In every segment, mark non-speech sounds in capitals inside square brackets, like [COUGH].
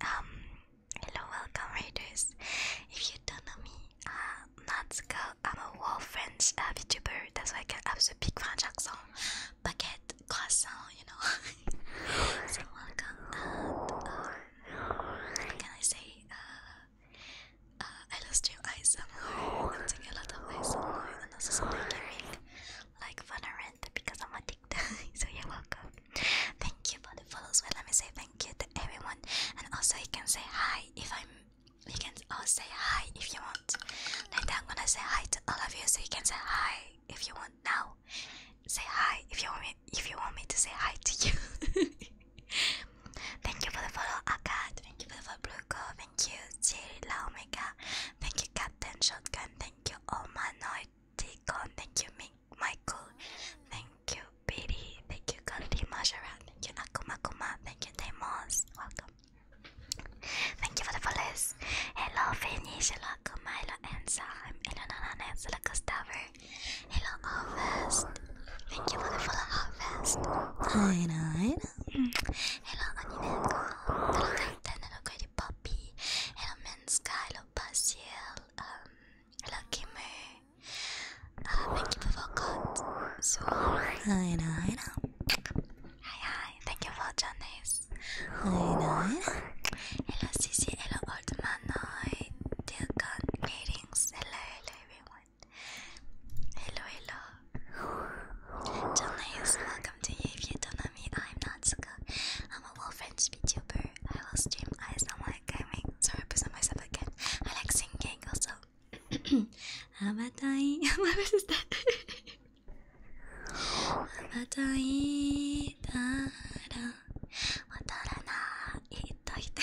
Um, hello, welcome readers. If you don't know me, uh, let's go. I'm a world French uh, VTuber, that's why I can have the big French accent. Baguette, croissant, you know. [LAUGHS] welcome. Uh, uh, can I say? Uh, uh, I lost your eyes somewhere. I'm taking a lot of eyes somewhere, and also something gaming, like Valorant, because I'm addicted. [LAUGHS] so you're welcome. Thank you for the follows. Well, let me say thank you to everyone, and also you can say hi if I'm. You can all say hi if you want. Later, I'm gonna say hi to all of you, so you can say hi if you want now. Say hi if you want me. If you want me to say hi to you. [LAUGHS] thank you for the follow, Akad. Thank you for the follow, Bluko. Thank you, Jira Omega. Thank you, Captain Shotgun. Thank you, Omanoid. Deacon. Thank you, Mink. Michael. Thank you, Biddy. Thank you, Gandhi Majara. Thank you, Nakuma Kuma. Thank you, Demos. Welcome. Thank you for the follows. Hello, Vinny, Shala, Kumaila, and Sam. Hello, Nana, and Shala, Gustavo. Hello, Harvest. Thank you for the follow, Harvest. Hi, Nine. Hello, Onimenko. Hello, Captain. Hello, Greedy Poppy. Hello, Menska. Hello, Basiel. Um, Lucky me. Uh, thank you for God. So, I know, Hi, hi. Thank you for Janice. I know. Hello, Cici. Hello, old man. Hi, dear God. Greetings. Hello, everyone. Hello, hello. Janice, welcome to you. I'm Natsuka. I'm mobile French VTuber. I will stream ASMR like gaming. Sorry, I present myself again. I like singing also. [CLEARS THROAT] Amatai. [LAUGHS] what is that? Amatai. Tara. Watarana. Ito, ito.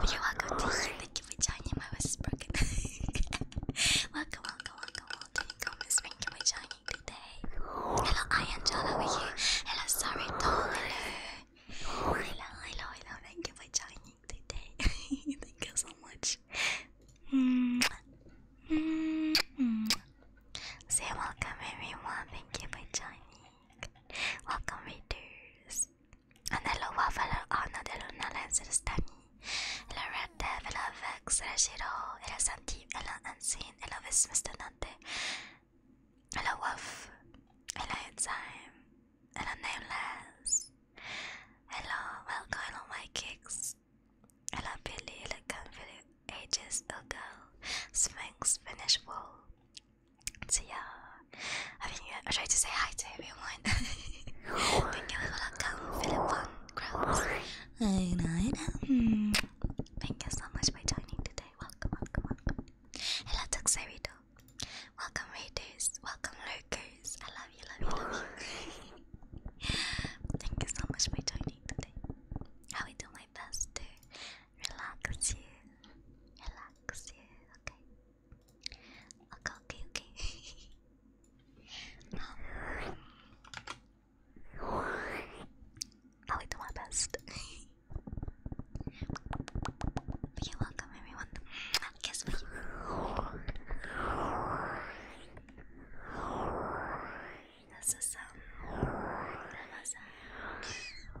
But you're welcome to hear. Thank you for joining. My voice is broken. [LAUGHS] welcome, welcome, welcome, welcome. Thank you for joining lovely Hello, I am John over here. Hello, sorry, Tom. Hello. Hello, hello, hello. Thank you for joining today. Thank you so much. Say welcome, everyone. Thank you for joining. Welcome, readers. And hello, Waffle, Anna, Deluna, the Stami. Hello, Red Dev, hello, Vex, hello, Shiro, hello, Santi, hello, Unseen, hello, Miss Mr. Hello, وف Hello, time Hello, nameless إلى what kind of my kicks إلى Billy إلى confident ages ago Sphinx Finish, wall So yeah I think I try to say hi to everyone [LAUGHS] Thank you for welcome Philip Von I know, I know. Thank you so much for joining today welcome, welcome, welcome. Hello, Toxerito. Welcome, readers. Welcome, Lurkers. I love you, love you, love you. [LAUGHS] Thank you so much for joining today. I will do my best to relax you. Relax you, okay? Okay, okay, okay. [LAUGHS] um, I'll do my best. [LAUGHS] you're welcome, everyone. Guess what? This is um, this is, um, to you.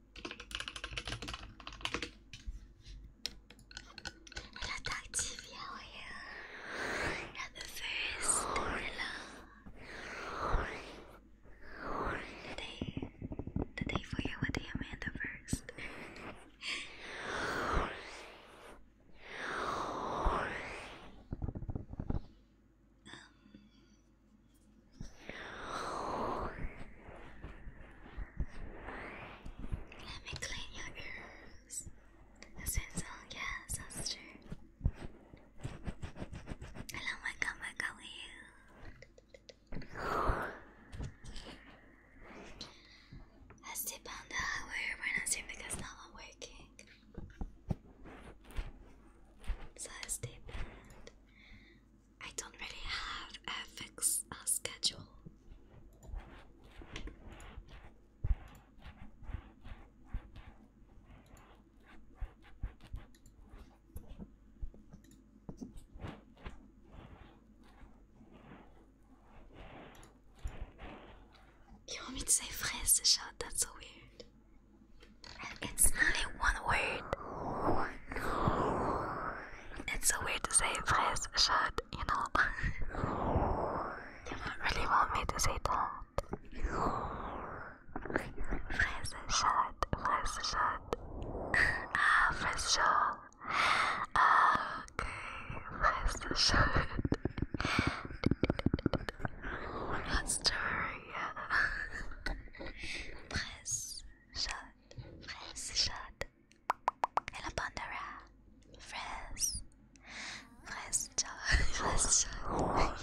Hello, Doc TV, how the first. for you with the Amanda first. Um, let me clean your ears. This is all, yeah, sister. Hello, my god, my you. I sleep on the highway when I sleep because now i So I sleep and I don't really have a fixed uh, schedule. You want me to say phrase shot? That's so weird. It's not in one word. It's so weird to say phrase, shot. you know. you don't really want me to say that. Phrase, shut, phrase, shot. ah, phrase, shut. okay, phrase, shut. That's true, fraise, chaude, fraise, chaude. Et la pandora, fraise, fraise, chaude, fraise, chaude.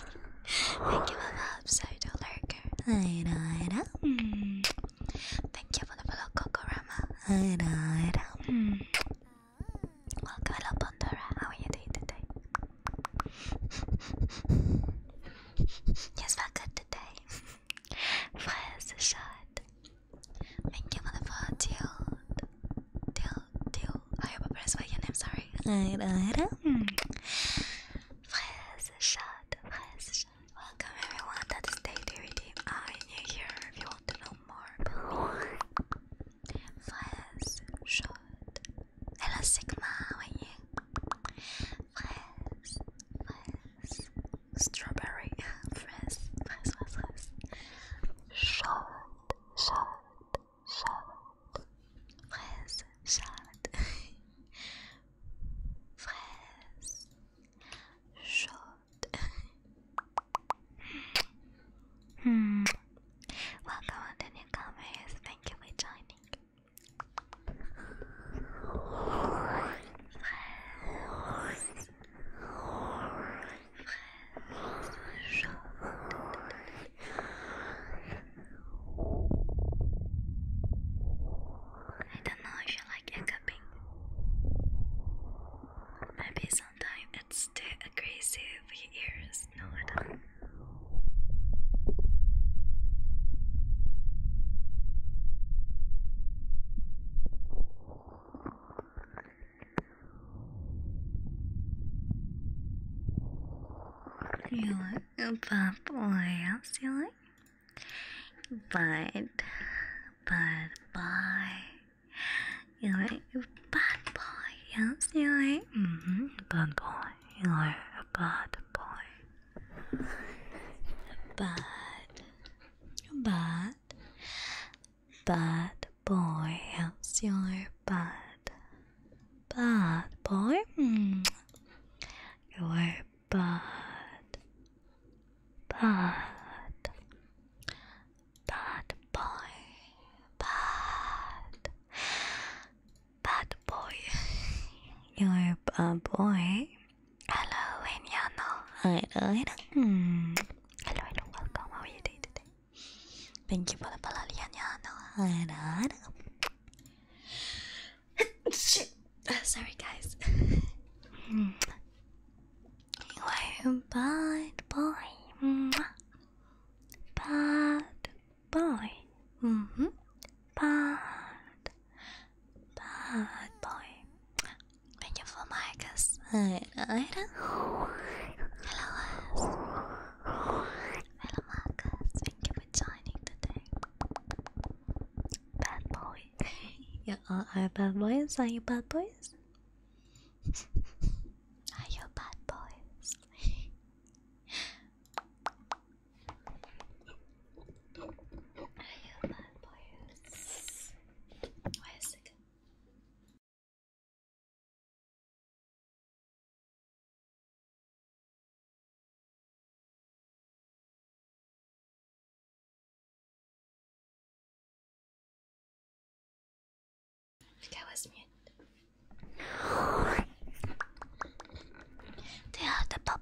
Thank you for the upside lurker. I know, I know. Mm. Thank you for the follow, Kokorama. I know, I know. Mm. Welcome, hello, Pandora. How are you doing today? yes, felt good today. Fraise [LAUGHS] shot. Thank you, mother, for tilt. Tilt, I hope I pronounced right name, sorry. I do Fraise shot. Fraise shot. Welcome, everyone. That is Day DVD. I am here if you want to know more. Fraise shot. Hello Sigma, how are you? Fresh, fresh, strawberry, fresh, fresh, fresh, fresh. Short, short, short, fresh, short, fresh, hmm. Welcome to newcomers. Thank you for joining. I don't know if you like hiccuping. Maybe sometimes it's too aggressive for your ears. No, I do you look bubbly, yes, you like? But, but, boy. You like bad boy, yes, you like? Mm hmm, bad boy. You are a bad boy. Bad, bad, bad boy. How's your bad, bad boy? Mm. You are bad, bad, bad boy, bad, bad boy. [LAUGHS] You're a boy. Hello, Enyano. Alright, alright. Mm. Hello, hello, welcome. How are you doing today? Thank you for the palal, Enyano. Alright, alright. Sorry, guys. [LAUGHS] you are a bad boy. Bad boy. Mm-hmm. Bad. Bad boy. Wonderful Marcus. I Hello, us. Hello, Marcus. Thank you for joining today. Bad boy. you all are bad boys. Are you bad boys? Are you bad boys? [LAUGHS] [LAUGHS] I love boys. Wait a second. Okay, I was They are the pop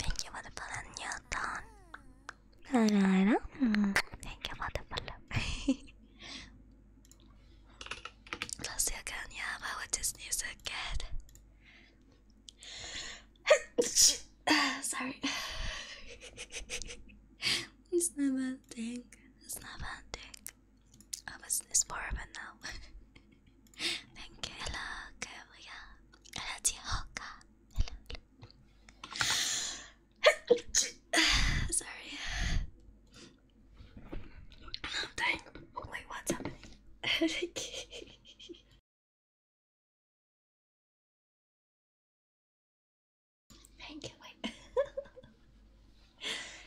Thank you for the follow, Newton. Hello, hello. Mm, thank you for the follow. Let's see again. Yeah, but what is news again? [LAUGHS] Sorry. [LAUGHS] it's not a thing. It's not a thing. I was this part now. [LAUGHS] Thank you. Hello, Kabuya. Hello, Sorry. I'm Wait, what's happening? Thank you, wait.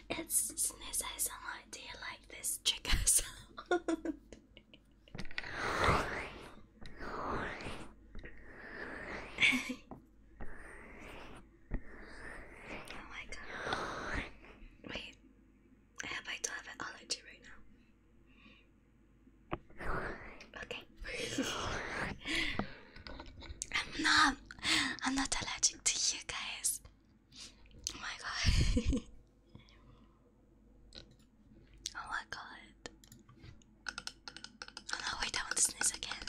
it's snooze ASMR. Do you like this trigger sound? [LAUGHS] oh my god. [LAUGHS] Wait, I hope I do have an allergy right now. Okay. I'm not I'm not allergic to you guys. Oh my god. [LAUGHS] Oh my god. Oh no, I want to sneeze again.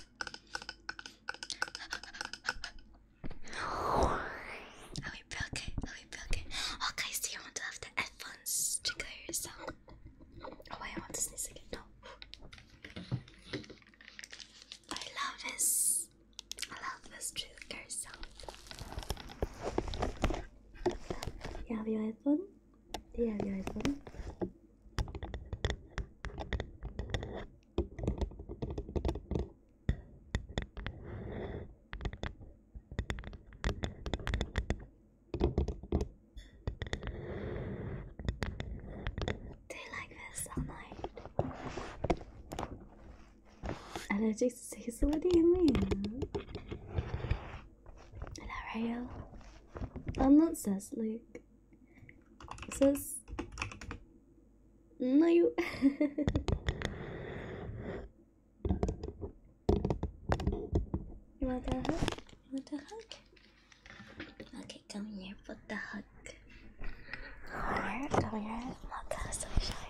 I will be okay, I will okay. so you want to have the headphones trigger sound? Oh I want to sneeze again, no. I love this. I love this trigger sound. Do You have your iPhone? Do you have your iPhone? Do you like this all night? Allergic السيسة وديهم لا عيال I'm not sus like sus no you [LAUGHS] you want a hug you want a hug okay come here put the hug come here come here I'm not so shy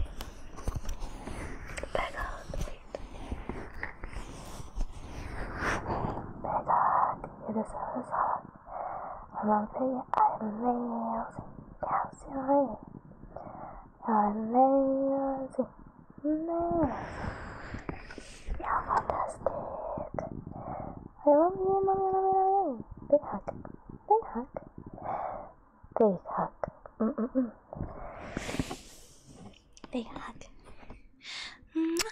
back out 내가 비를 세운 사람 얼마만큼의 amazing calcium amazing amazing you're fantastic I love you, mommy, mommy, mommy big hug big hug Big hug. Mm -mm -mm. Big hug. Big hug,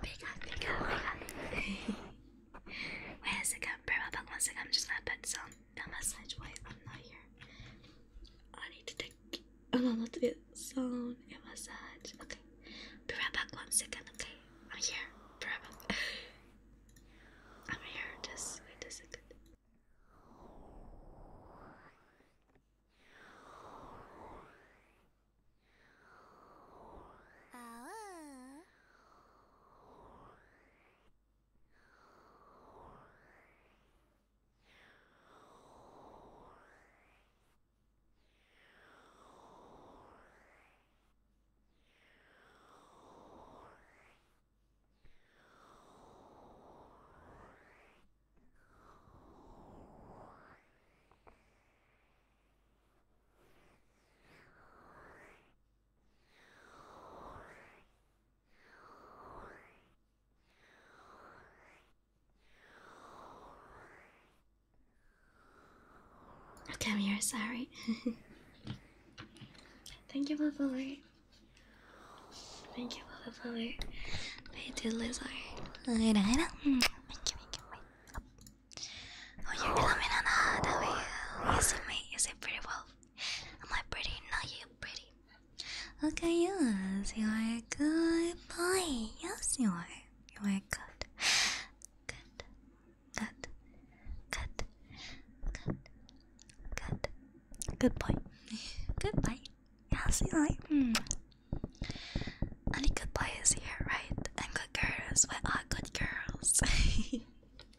big hug, big hug. Wait a second, Burma Bug, one second. I'm just gonna put some a message. Wait, I'm here. I need to take. I'm about to sound massage. Okay. Be right back one second, okay? I'm here. Be [LAUGHS] I'm here. Just wait a second. Come here, sorry. [LAUGHS] Thank you for the follow. Thank you for the follow. Thank you, Lizard. Thank you, thank you. Oh, you love me, Nana. That way you see me. You see pretty well. Am I pretty? No, you pretty. Okay, yes, you are a good boy. Yes, you are. You are good. Good. Good. Good. Good. Good. Good boy. Good boy. Yes, you like. Mm. Any good boy is here, right? And good girls. We are good girls.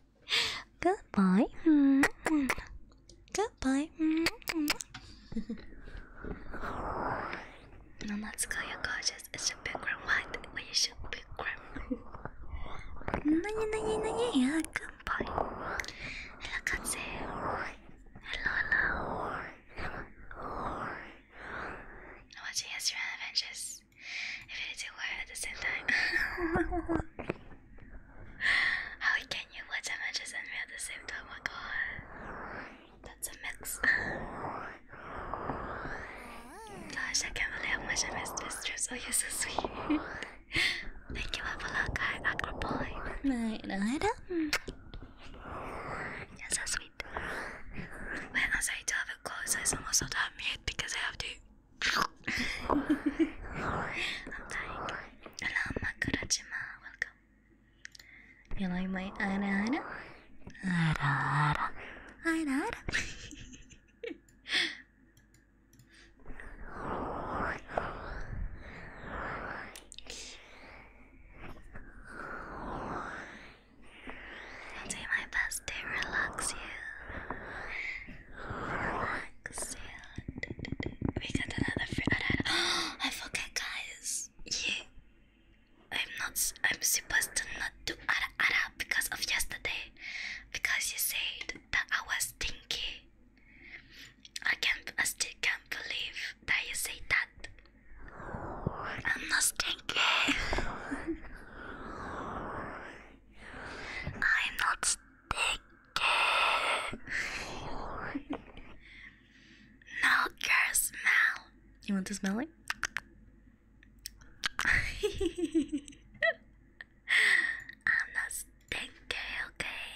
[LAUGHS] good boy. Mm -hmm. Good boy. Mm -hmm. now let's go. You're gorgeous. It's your big room. What? Asian big Nani nani nani ya kanpai. Hello Katsu. Hello hello. I'm watching Yesterday Adventures. If it is aware at the same time. How can you watch Avengers and me at the same time? my god. That's a mix. Gosh, I can't believe how much I miss Mistress. Oh, you're so sweet. [LAUGHS] Thank you for that guy, Aqua Boy. You're so sweet. When I say to have it closed, it's almost so damn mute because I have to. I'm [LAUGHS] dying. Hello, Makurajima. Welcome. You like my ara ara? Ara ara. Ara ara. I'll do my best to relax you. Relax you. We another free. [GASPS] I forget, guys. Yeah. I'm not. I'm supposed to not do ara ara because of yesterday because you said that I was stinky. I can't, I still can't believe that you said that. I'm not stinky. I'm not stinky. No girl smell. You want to smell it? I'm not stinky, okay?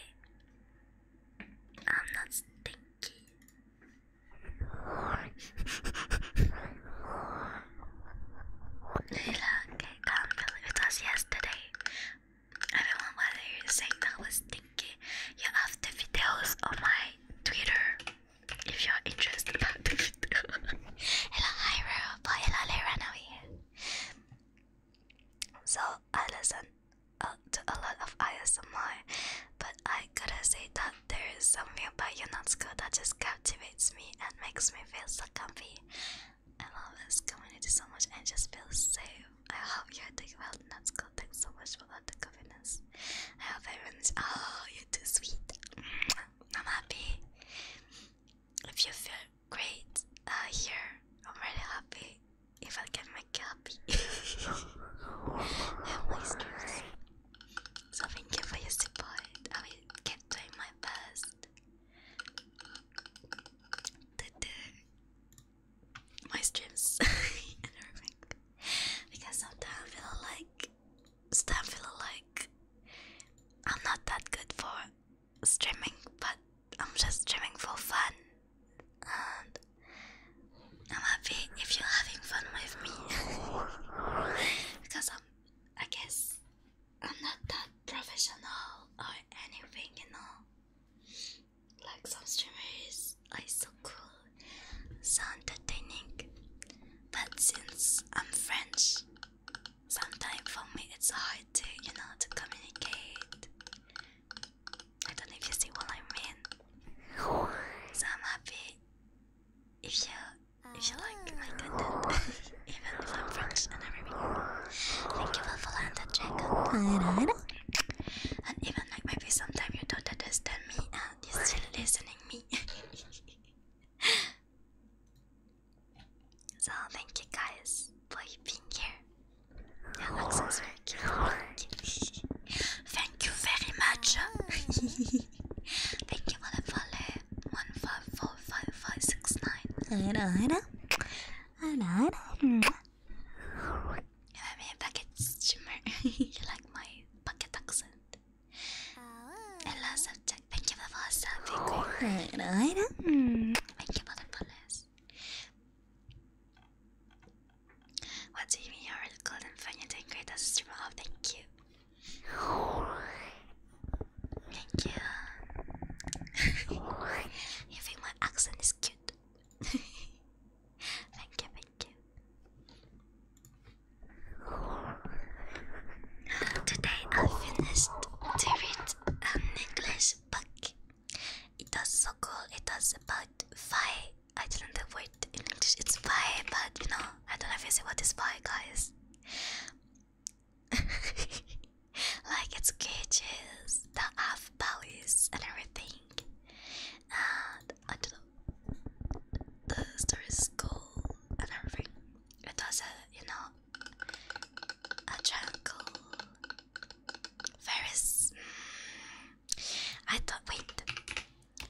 I'm not stinky. okay, come play with us yesterday. Everyone, whether you're saying that was stinky, you have the videos on my Twitter if you're interested about the video. hello, hi, Robo. Hello, Lerana. So I listen uh, to a lot of ISMR, but I gotta say that there is something about UNESCO that just captivates me and makes me feel so comfy. I love this community so much and just feel safe. I hope you're doing well, Natsuko. Thanks so much for all the kindness. I hope everyone's. Oh, you're too sweet. I'm happy if you feel great uh, here, I'm really happy if I can make you happy. my [LAUGHS] stress. thank you for your support. I will get doing my best my streams [LAUGHS] and everything. Because sometimes I feel like, sometimes I feel like I'm not that good for streaming, but I'm just streaming for fun. And I'm happy if you're having fun with me. [LAUGHS] because I'm, I guess I'm not that professional or anything, you know. Like some streamers are so cool, so entertaining. But since I'm French, Sometimes for me it's hard to, you know, to communicate. I don't know if you see what I mean. So I'm happy if you if you like my content, [LAUGHS] even if I'm French and everything. Thank you for following the dragon. And even like maybe sometimes you don't understand me and you're still listening me. [LAUGHS] So thank you guys for being here. thank you very much. thank you for the follow. One five four five five six nine. Alright, alright, alright. you like my bucket accent? Hello, oh. subject. Thank you for subscribing. Right? Thank you for the follows. What do you mean you're the golden fan? You're doing Oh, thank you. Thank you. you think my accent is cute? [LAUGHS] thank you, thank you. Today I finished to read a English book. It was so cool. It was about five. I did not know the in English. It's five, but you know, I don't know if you see what is five guys. [LAUGHS] like its gauges, the half values, and everything. And I don't know. The story is cool and everything. It was a, you know, a jungle. There is. I thought. Wait.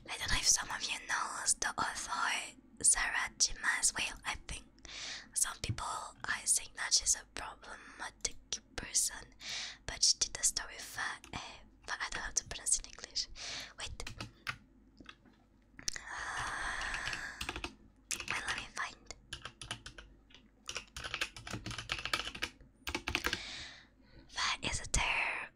I don't know if some of you knows the author Sarah Jimas. Well, I think some people I think that she's a problematic person, but she did the story for. Uh, but I don't know how to pronounce in English. Wait let me find. That is a there.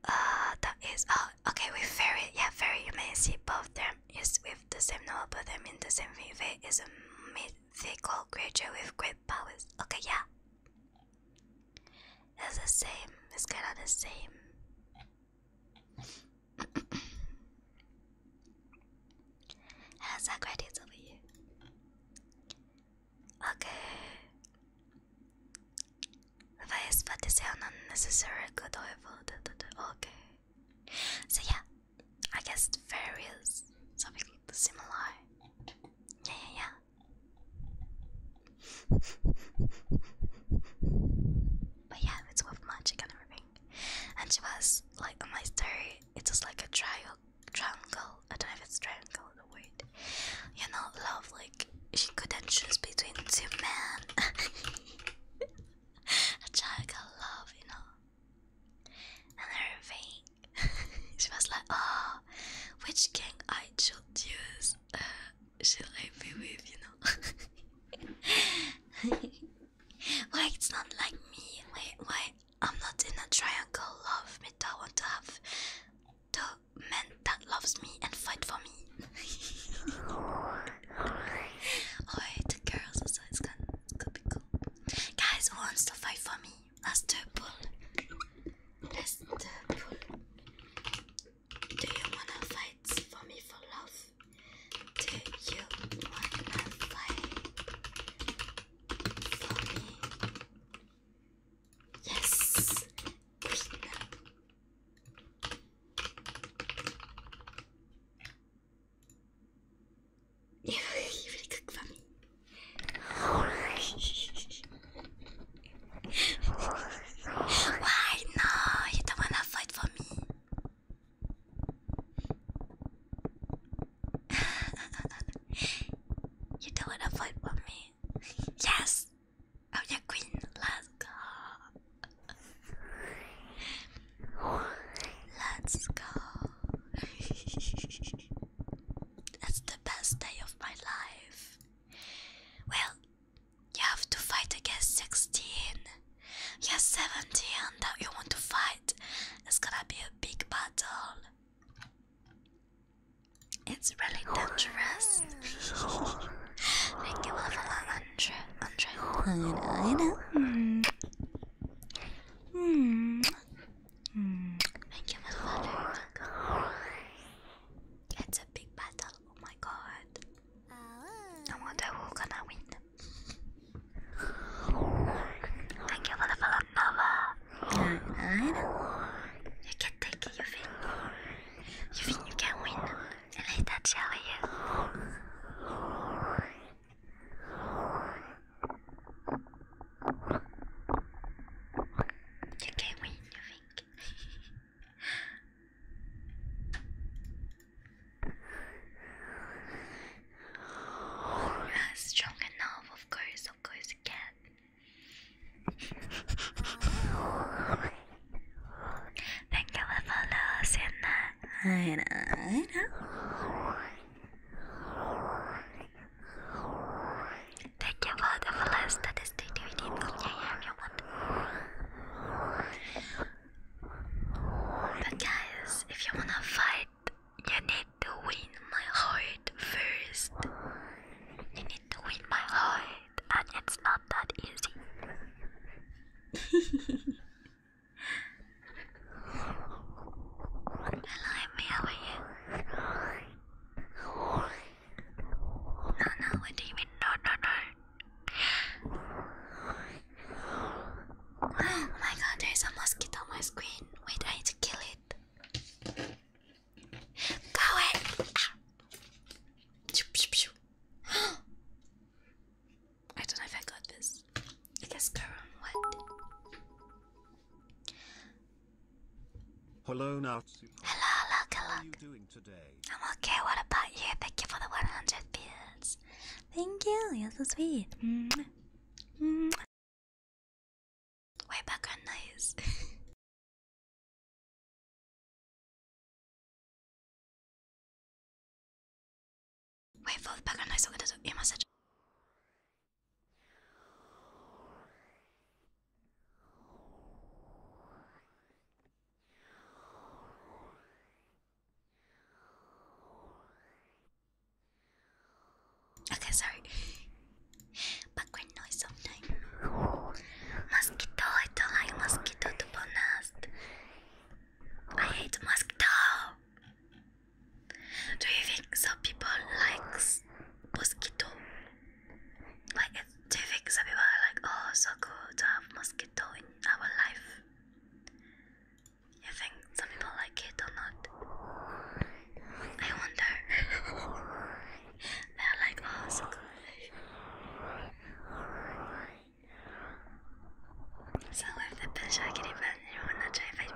Uh, that is. Oh, okay. We very, yeah, very. You may see both them is with the same novel, but them in the same thing. They is a mythical creature with great powers. Okay, yeah. It's the same. It's kind of the same. How's that credits over you? Okay. Advice but this sound unnecessary good oil okay. So yeah, I guess the fairy something similar. Yeah yeah yeah. but yeah, it's worth magic and everything and she was like my story. It was like a triangle, triangle. I don't know if it's triangle or the You know, love. Like she couldn't choose between two men. [LAUGHS] a triangle love, you know, and everything. [LAUGHS] she was like, oh, which king I should use? Uh, should I be with? You know. [LAUGHS] Why it's not like me? Why why I'm not in a triangle love with I want to have the man that loves me and fight for me. [LAUGHS] oh the girls also it's gonna, it's gonna be cool. Guys who wants to fight for me? Let's do pull. Let's pull. Do you wanna fight for me for love? Do you wanna fight for me? Yes, Queen. [LAUGHS] You really cook for me. [LAUGHS] Why no? You don't wanna fight for me. [SIGHS] you don't wanna fight with me? yes! Oh, am your queen, let's go! Let's go! [LAUGHS] That's the best day of my life. Well, you have to fight against 16. You're seventeen. That you want to fight. It's gonna be a big battle. It's really dangerous. Thank you for the 100. Hmm. Hmm. Thank you for the 100. It's a big battle. Oh my god. I wonder who's gonna win. Thank you for the follow Nova. Alright. You can take it, you think. You think you can win. And I touch you. You can win, you think. [LAUGHS] That's strong enough, of course, of course again. can. Thank you for follows in that. Uh, I uh, know, I uh. know. Thank you for the follows that is the duty. Yeah, yeah, you but guys, if you wanna fight, you need to win my heart first. You need to win my heart, and it's not that easy. Hello, how are you? No, no, what do you mean? No, no, Oh my god, there's a mosquito on my screen. Wait, I need to kill it. Go away! [GASPS] I don't know if I got this. Let's go on what? Hello now. Hello, look, look. I'm okay, what about you? Thank you for the 100 bits. Thank you. You're so sweet. Mm -hmm. Mm Wait for the background noise. I'm gonna do Okay, sorry. Background noise sometimes. Mosquito, I don't like mosquito to be honest. I hate mosquito. Do you think some people like mosquito? Like, do you think some people like, oh, so good to mosquito in our life? You think some people like it or not? I wonder. [LAUGHS] they like, oh, so good. the pleasure, I can imagine anyone not trying to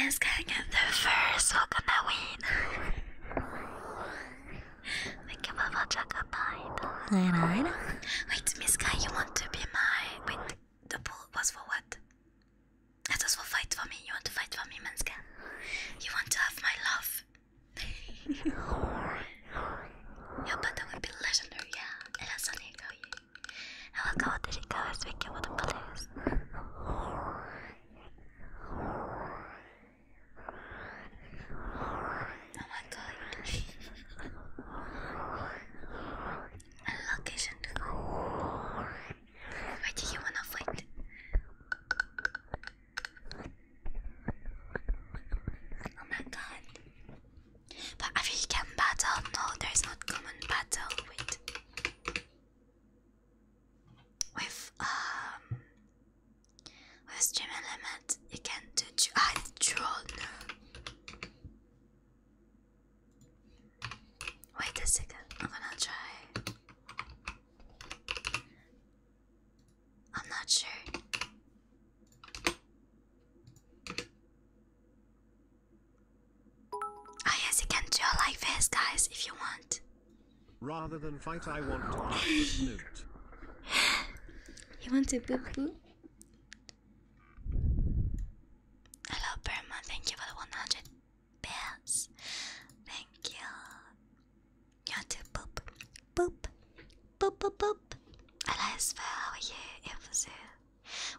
me. [GASPS] Miss can get there first, how can I win? Think about what Jacob died. Alright. Wait, Miss Kai, you want to be my the pool was for what? It was for fight for me. You want to fight for me, Manska? You want to have my love? ja, but would be legendary, yeah. Eller så ni går ju. Jag var glad att det går så mycket mot en polis. Oh my god. Location. Where do you wanna fight? Oh my god. But African battle? No, there's not common battle with with um with stream element you can do ah, drone Wait a second, I'm gonna try. I'm not sure. Oh, yes, you can do like this, guys, if you want. Rather than fight, I want to snoot. [SIGHS] you want to poo poo? Hello, Burma. Thank you for the 100 bears. Thank you. You have to boop, boop, boop, boop, boop. Hello, Isabel. you?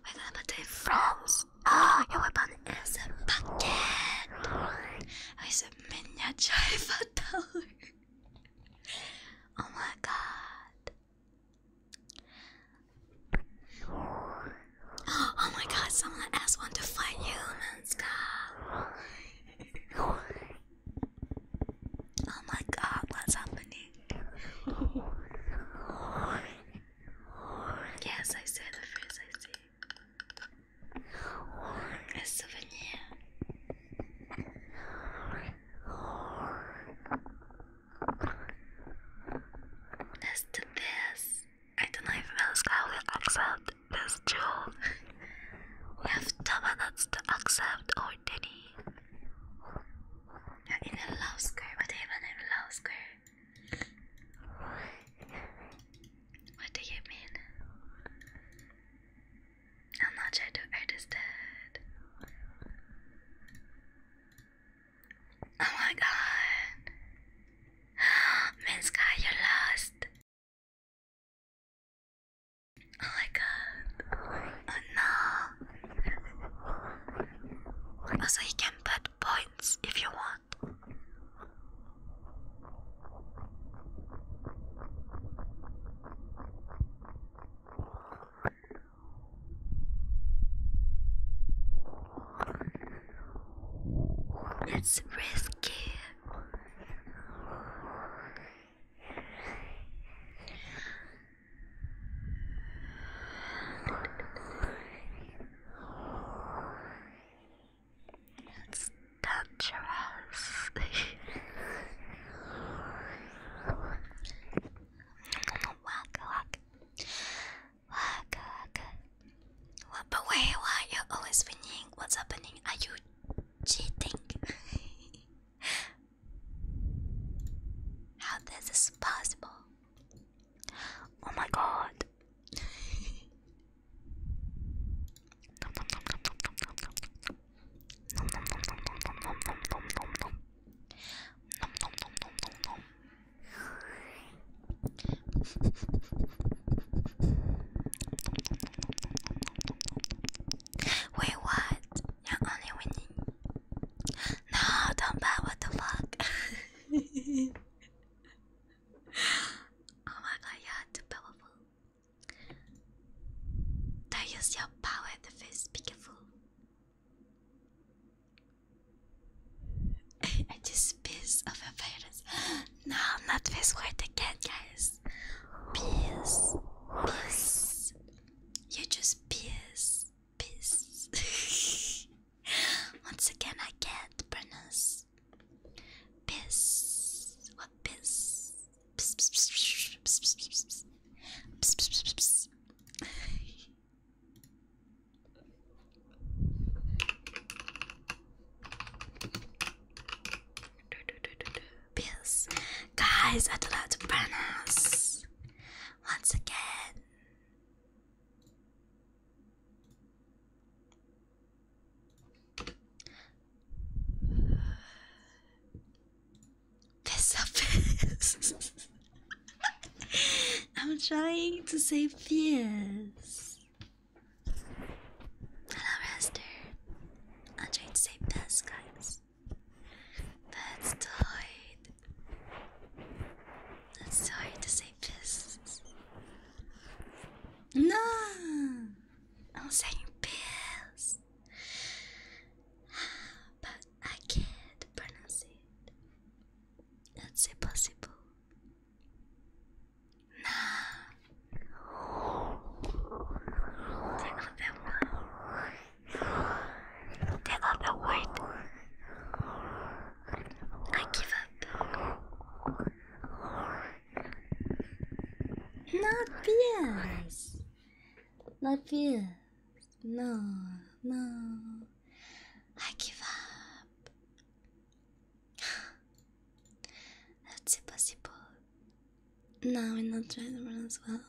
We're gonna put it France. Oh, your weapon is a bucket. Oh, it's a miniature Eiffel [LAUGHS] Tower. oh my god. Oh my god, someone else want to fight humans, god. oh my god, what's happening? yes, I said the phrase I see. souvenir. As to this. I don't know if Alaska will accept this jewel. we have two minutes to accept or Denny. You're in a love square. What even in love square? What do you mean? I'm not sure to understand. Oh my god. [GASPS] Minska, you're lost. Oh my god. Oh no. Also, you can put points if you want. It's risky. It's dangerous. [LAUGHS] Whack, whack. Waka What, but why are you always winning? What's happening? Are you cheating? How this is possible? Oh my god. Wait, what? You're only winning. No, don't bet. What the fuck? [LAUGHS] oh my god, you're too powerful. Don't use your power to feel beautiful. [LAUGHS] I just piss of a virus. No, I'm not this quite again, guys. Piss, piss. You just piss, piss. [LAUGHS] Once again, I can't pronounce piss. What piss? Piss, piss, piss, piss, piss, piss, piss, piss, piss, piss, piss. [LAUGHS] Peace. Guys, I'd love to burn once again. Piss up [LAUGHS] I'm trying to say piss. Hello, Rester. I'm trying to say piss, guys. That's too hard. That's too to say piss. No! I'm saying piss. [SIGHS] But I can't pronounce it. That's impossible. Nah. They are the one. They are the word. I give up. Not fierce. Not fierce. No, no. I give up. [GASPS] That's impossible. No, we're not trying to run as well.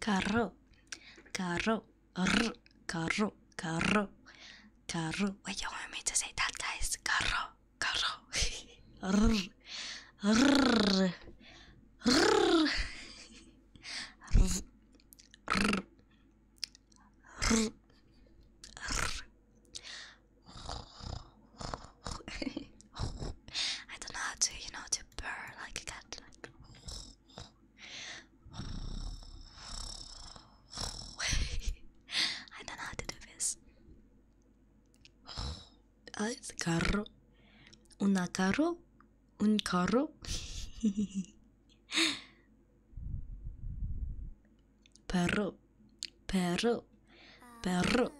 Carro, carro, carro carro, carro, carro. Wait, me that, guys? Carro, carro, [LAUGHS] I don't know how to, you know, to purr like a cat. Like. [LAUGHS] I don't know how to do this. Ah, it's carro. Una carro un carro perro perro perro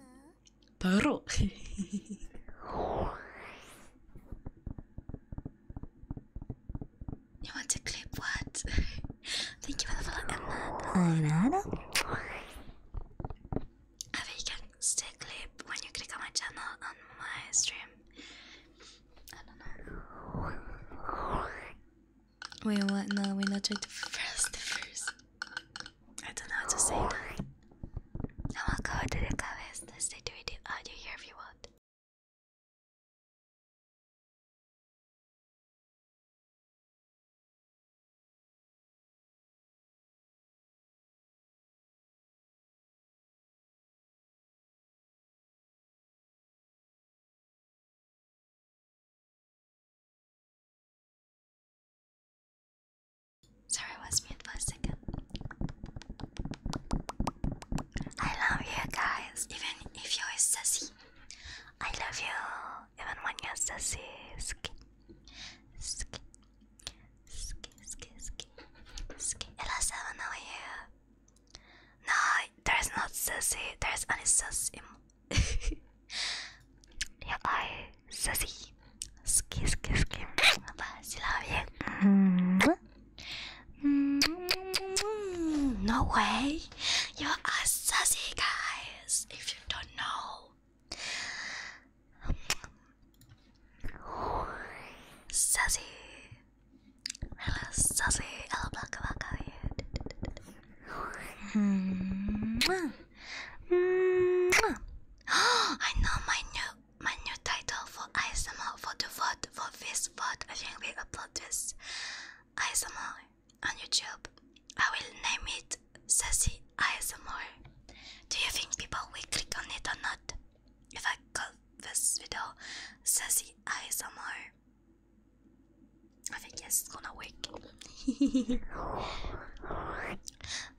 perro you want to clip what thank you for the follow and that I a vegan stick clip when you click on my channel on my stream. I don't know. Wait, what? No, we're not trying to press the first. I don't know what to say that. I will go to the comments and stay to the audio here if you want. Sorry, I was mute for a second. I love you guys, even if you're sassy. I love you, even when you're sassy. sk, Ski, ski, ski, ski. Irashaima, how are you? No, there's not sushi. There's only sushi. Your eye, sushi. Ski, ski, ski. She love you. Mm -hmm. Mm -hmm. No way. You are sushi, guys. If you don't know. Sassy. Hello, Sassy. Hello, Baka Baka. I know my new my new title for ISMR for the vote for this vote. I think we upload this ISMR on YouTube. I will name it Sassy ASMR. Do you think people will click on it or not? if I call this video Sassy ASMR. I think yes, it's gonna work. [LAUGHS]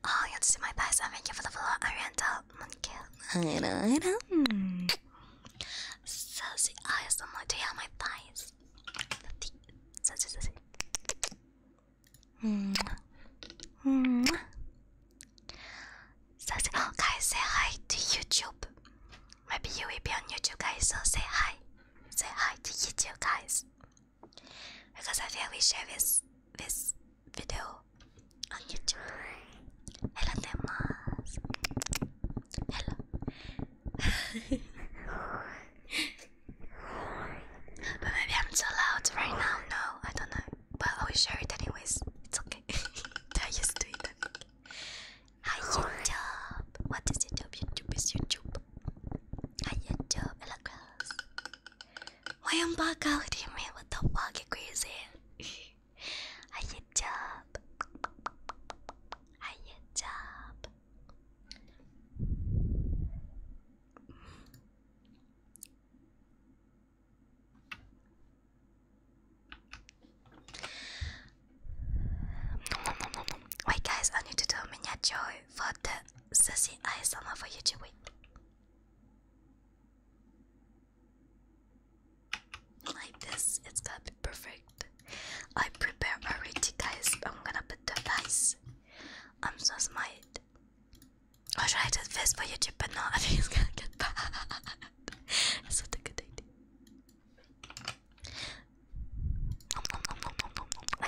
oh, you have to see my best. I thank you for the follow, Arianta Monkey. Sassy ASMR, do you have my thighs? Sassy, sassy. Mm -hmm. So say, oh, [GASPS] guys, say hi to YouTube. Maybe you will be on YouTube, guys. So say hi, say hi to YouTube, guys. Because I feel we share this this video on YouTube. Hello, Demas. Hello. [LAUGHS] but maybe I'm too loud right now. No, I don't know but I will share it anyways. It's okay. [LAUGHS] I used to it. Hi YouTube. What is YouTube? YouTube is YouTube. Hi YouTube. Hello girls. Why am I out here, man? What the fuck? You crazy? [LAUGHS] Hi YouTube. Hi YouTube. Wait guys, I need to do a miniature for the Sissy ASMR for YouTube. Wait. Like this, it's gonna be perfect. I prepare already guys, I'm gonna put the dice. I'm so smart. I'll try to this for YouTube, but no, [LAUGHS] I think it's gonna get bad. [LAUGHS]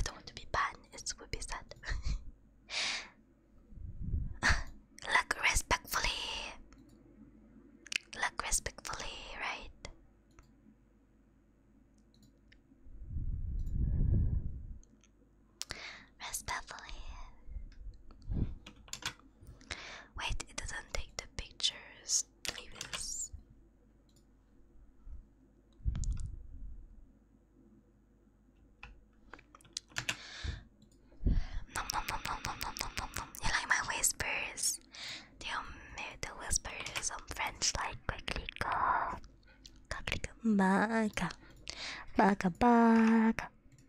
don't want to be banned, it would be sad. Look [LAUGHS] respectfully. Look respectfully, right? Respectfully. Wait, it doesn't take the pictures previous. Nom nom nom nom nom nom nom nom You like my whispers? Do the whispers on French like quickly go? Baka, baka, baka, baka.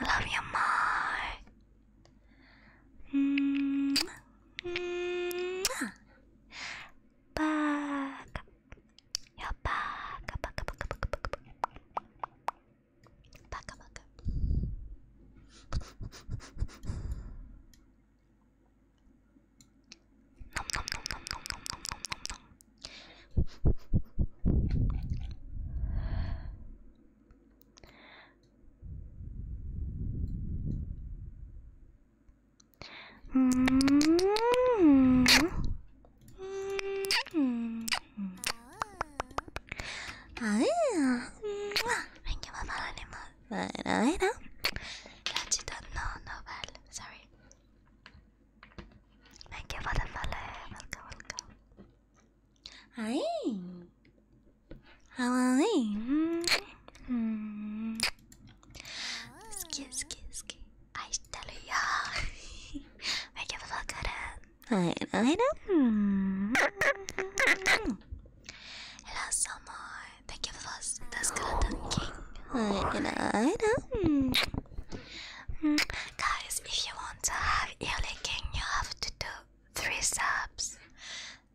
I love you more. Mm -hmm. Back. You're back. Back, back, back, back, back. Back, back. nom nom nom nom nom nom nom nom nom. Mm -hmm. Ay, ben que va para animal. Bueno, Gachita, no, no, vale, sorry. Thank you for the Welcome, welcome. Hi. How are you? Excuse, excuse, excuse. I tell you. Make it look good. I, I know. Hello, Summer. Thank you for the skeleton king. I, I know. Guys, if you want to have ear licking, you have to do three subs.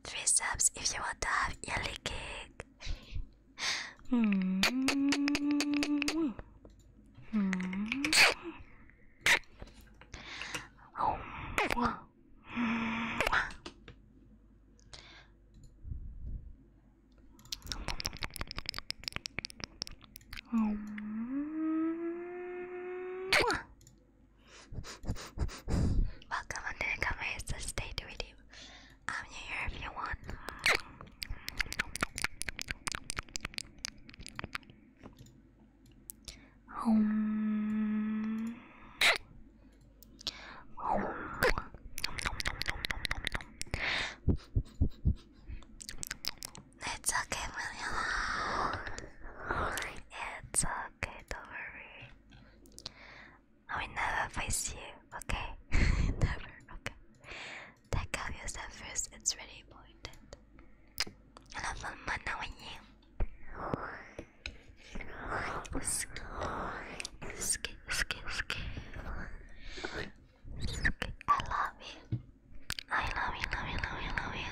Three subs if you want to have yelly cake. Hmm. Welcome to the comments stay to with you. I'm here if you want. It's okay, don't worry. I will never face you, okay? [LAUGHS] never, okay. Take care of yourself first, it's really important. I love my now and you. Ski, ski, ski, ski. I love you. I love you, love you, love you, love you.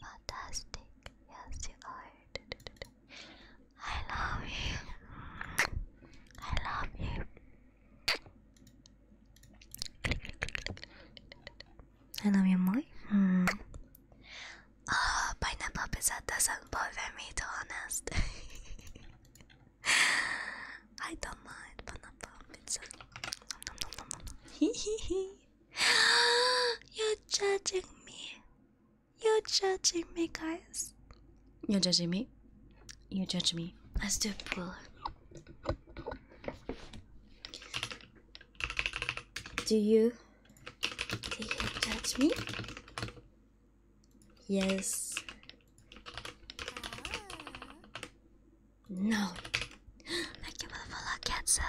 Fantastic. Yes, you are. I love you. I love you. I love you more. Hmm. Oh, pineapple pizza doesn't bother me, to honest. [LAUGHS] I don't mind pineapple pizza. Hee hee hee. [GASPS] You're judging me. You're judging me, guys. You're judging me. You judge me. as the do pool. Do you judge me? Yes. Ah. No. I can't believe I can't sell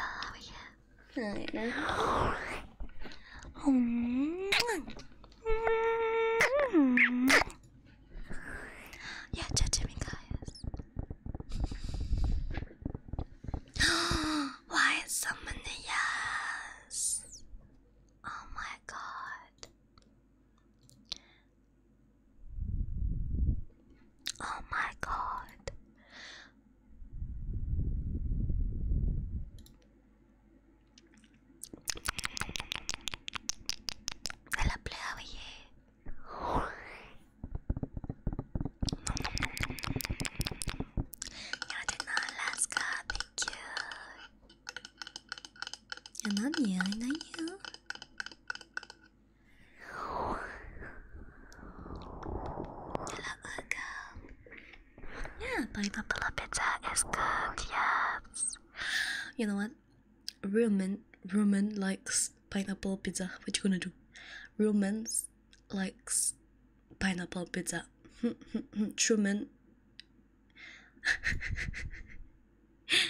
yeah, judge me, guys. [GASPS] Why is so yes? Oh my god. Oh my god. Hello, Blue, you? You're in Alaska, thank you. I love you, I love pineapple pizza is good. Yes. You know what? Real men, real men likes pineapple pizza. What you gonna do? Real men likes pineapple pizza. [LAUGHS] True men. [LAUGHS]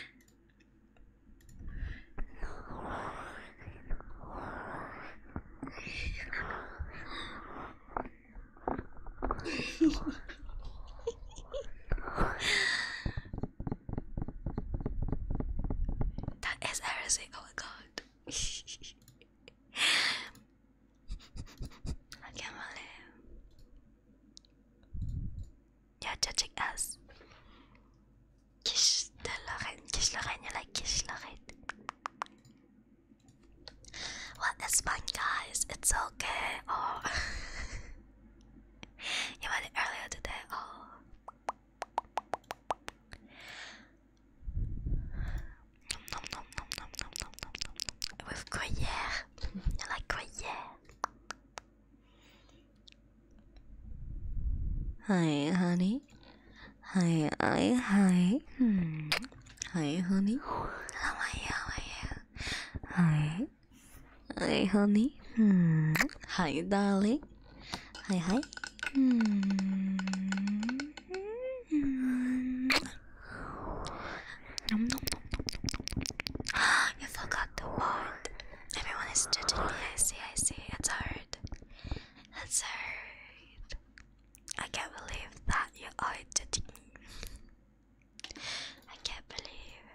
that is everything. Oh my god. I can't believe you're judging us. Kiss the Lorraine, kiss Lorraine, you like kiss Lorraine. Well, it's fun, guys. It's okay. Oh, [LAUGHS] you went earlier today. Oh, With gruyere, you [LAUGHS] like Hi, honey. Hi, hi, hi. Hmm. Hi, honey. How are you? How are you? Hi. Hi, honey. Hmm. Hi, darling. Hi, hi. Hmm. Nom, nom, nom, nom, nom, nom. [GASPS] You forgot the word. Everyone is judging me. I see, I see. It's hard. That's Hazard. I can't believe that you are judging me. I can't believe.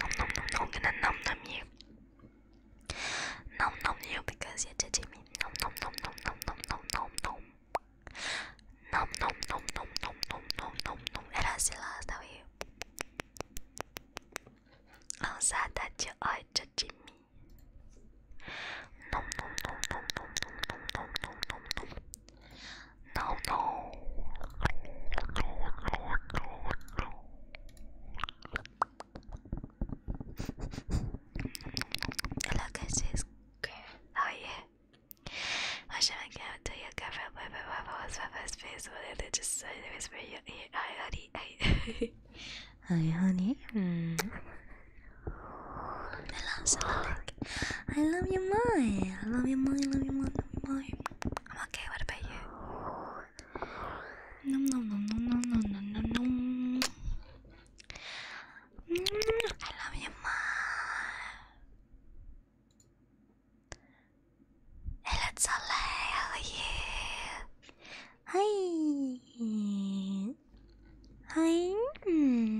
Nom nom nom nom, I'm gonna nom nom you. Nom nom you because you're judging Nom nom nom nom nom nom nom nom nom. Nom nom nom nom nom nom nom nom nom. Era así la I'm sad that you are just me. No, no, no, no, no, no, no, no, no, no, no, no, no. Hello, guys. How are you? What should I give to you? you [LAUGHS] I honey. Hi, I love you more. I love you more. I love you more. Love you more. I'm okay. What about you? Nom nom nom nom nom nom nom nom nom. Mm, I love you more. Hey, let's all how are you? Hi. Hi. Mm -hmm.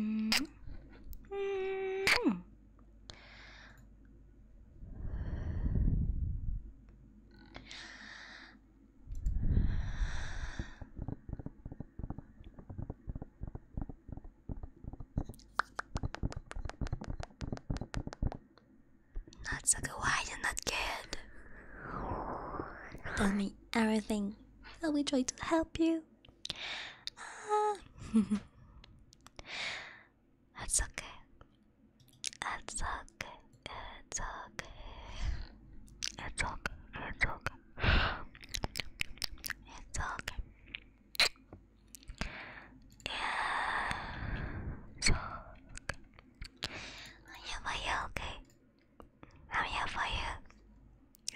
Not Sucker, why you're not good? Tell me everything. I'll try to help you. Ah. [LAUGHS] That's okay. It's okay. It's okay. It's okay. It's okay so I'm here for you, okay? I'm here for you.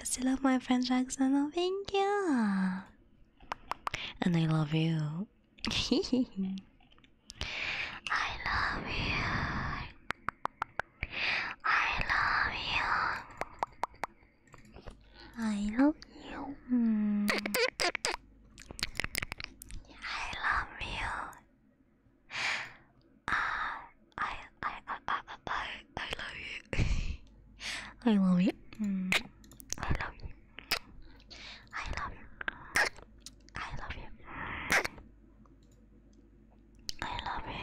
I still love my French oh, accent, thank you. And [LAUGHS] I love you. I love you. I love you. I love you. I love you. Uh, I, I, I, I, I, I love you. [LAUGHS] I love you. Mm. I love you. I love you. I love you. I love you. I love you.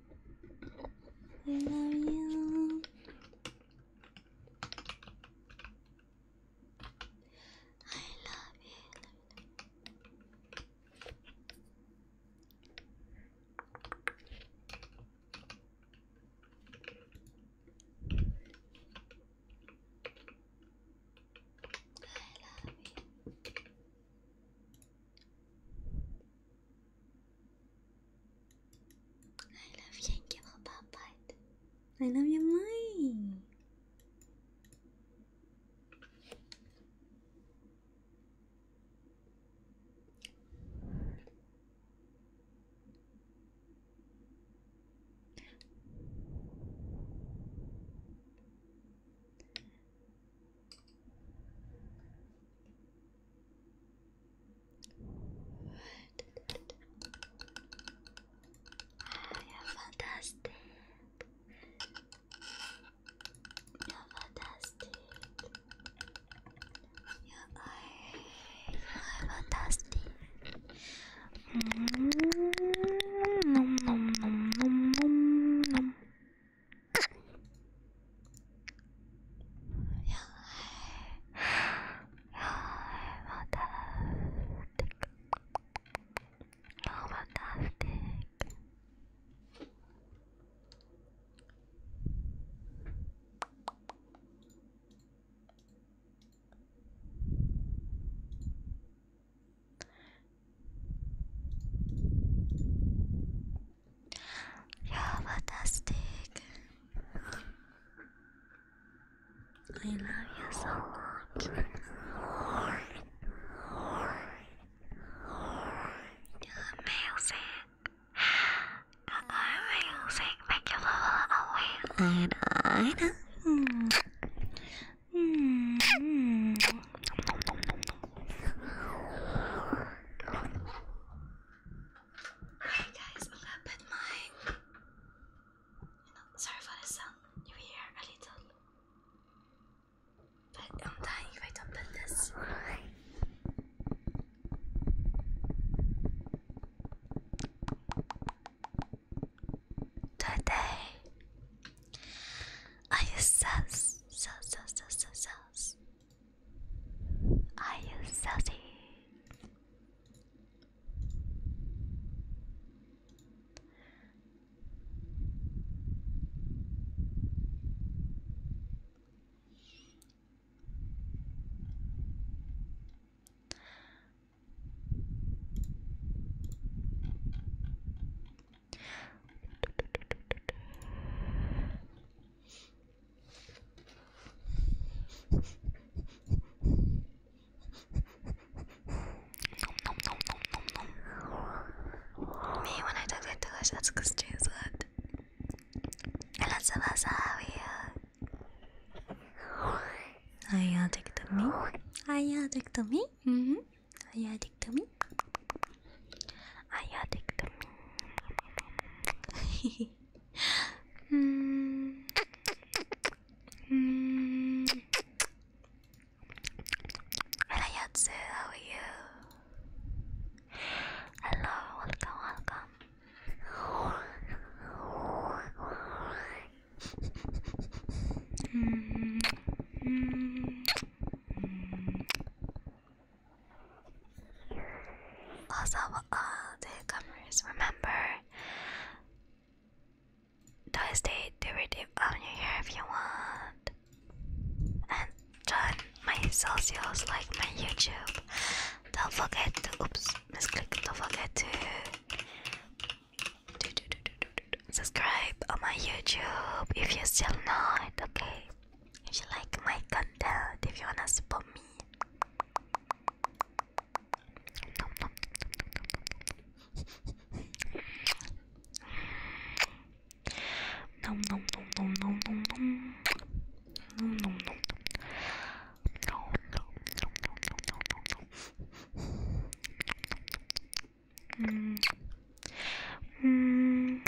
I love you. I love you. I love you. you I love you and give a pop I love you, mine. I am are fantastic. I am fantastic. You are, you are fantastic. -hmm. Nom nom nom nom nom nom fantastic. Oh, fantastic. You're fantastic. I love you so much. You're amazing. You're amazing. Thank you for all away. I know. Mm. Mm-hmm. Mm-hmm. Alright guys, I'm going sorry for the sound you here a little. But I'm dying if I this. Today I use sus, sus, sus, sus, sus, are you sassy? Me when I talk like Taylor that's because Jay's good. And that's the best Are you addicted to me? Are you to me? hmm Are you addicted to me? Ayaw diktum. mm. Mm. Rayatsu, how are you? Hello, welcome, welcome. mm. Mm. Also, all the comers, remember Thursday derivative of if you want, and join my socials like my YouTube. Don't forget to oops, misclick. Don't forget to subscribe on my YouTube if you're still not. Okay. If you like my content, if you wanna support me. Nom nom nom nom nom nom nom nom nom nom nom nom nom nom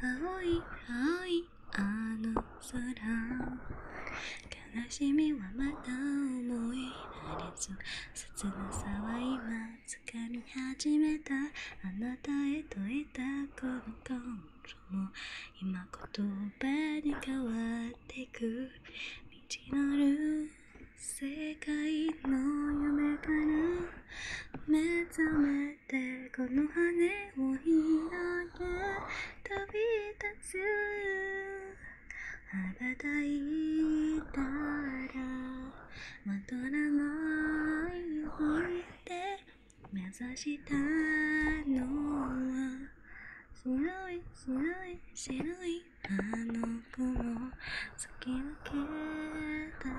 青い青いあの空悲しみはまた思いられず切なさは今掴み始めたあなたへと得たこのコンも今言葉に変わってく道のる世界の夢から目覚めてこの羽をひらけ飛び立つ羽ばたいたらまとらないよって目指したのは白い白い白いあの子を突き抜けたら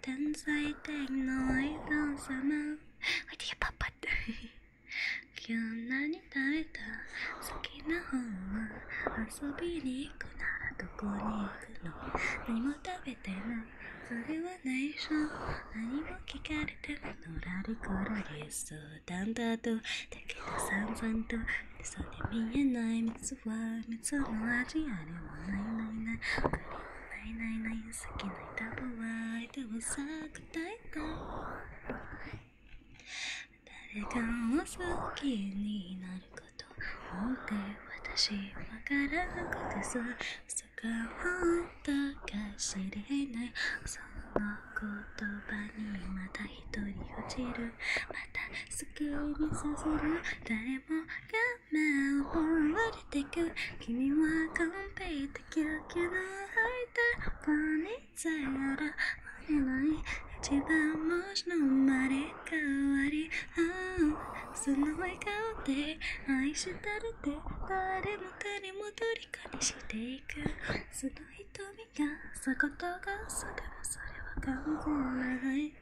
天才的な笑顔様おいでやパパって今日何食べた好きな方は遊びに行くならどこに行くの何も食べてないそれは内緒何も聞かれてなラのコりこらり相談だとだけど散々とそれ見えない蜜は蜜の味あれもないないないないないないない好きな歌は歌を咲くタイプ誰かを好きになることなんて私わからなくてさ嘘が本当か知れないその言葉にまた一人落ちるまた好きにさせる誰もが目を追われてく君は完璧的気の吐いたポニーゼロ割れない一番星の生まれ変わり、その笑顔で愛してるって誰も誰も虜にしていくその瞳がそことがそれはそれは完全ない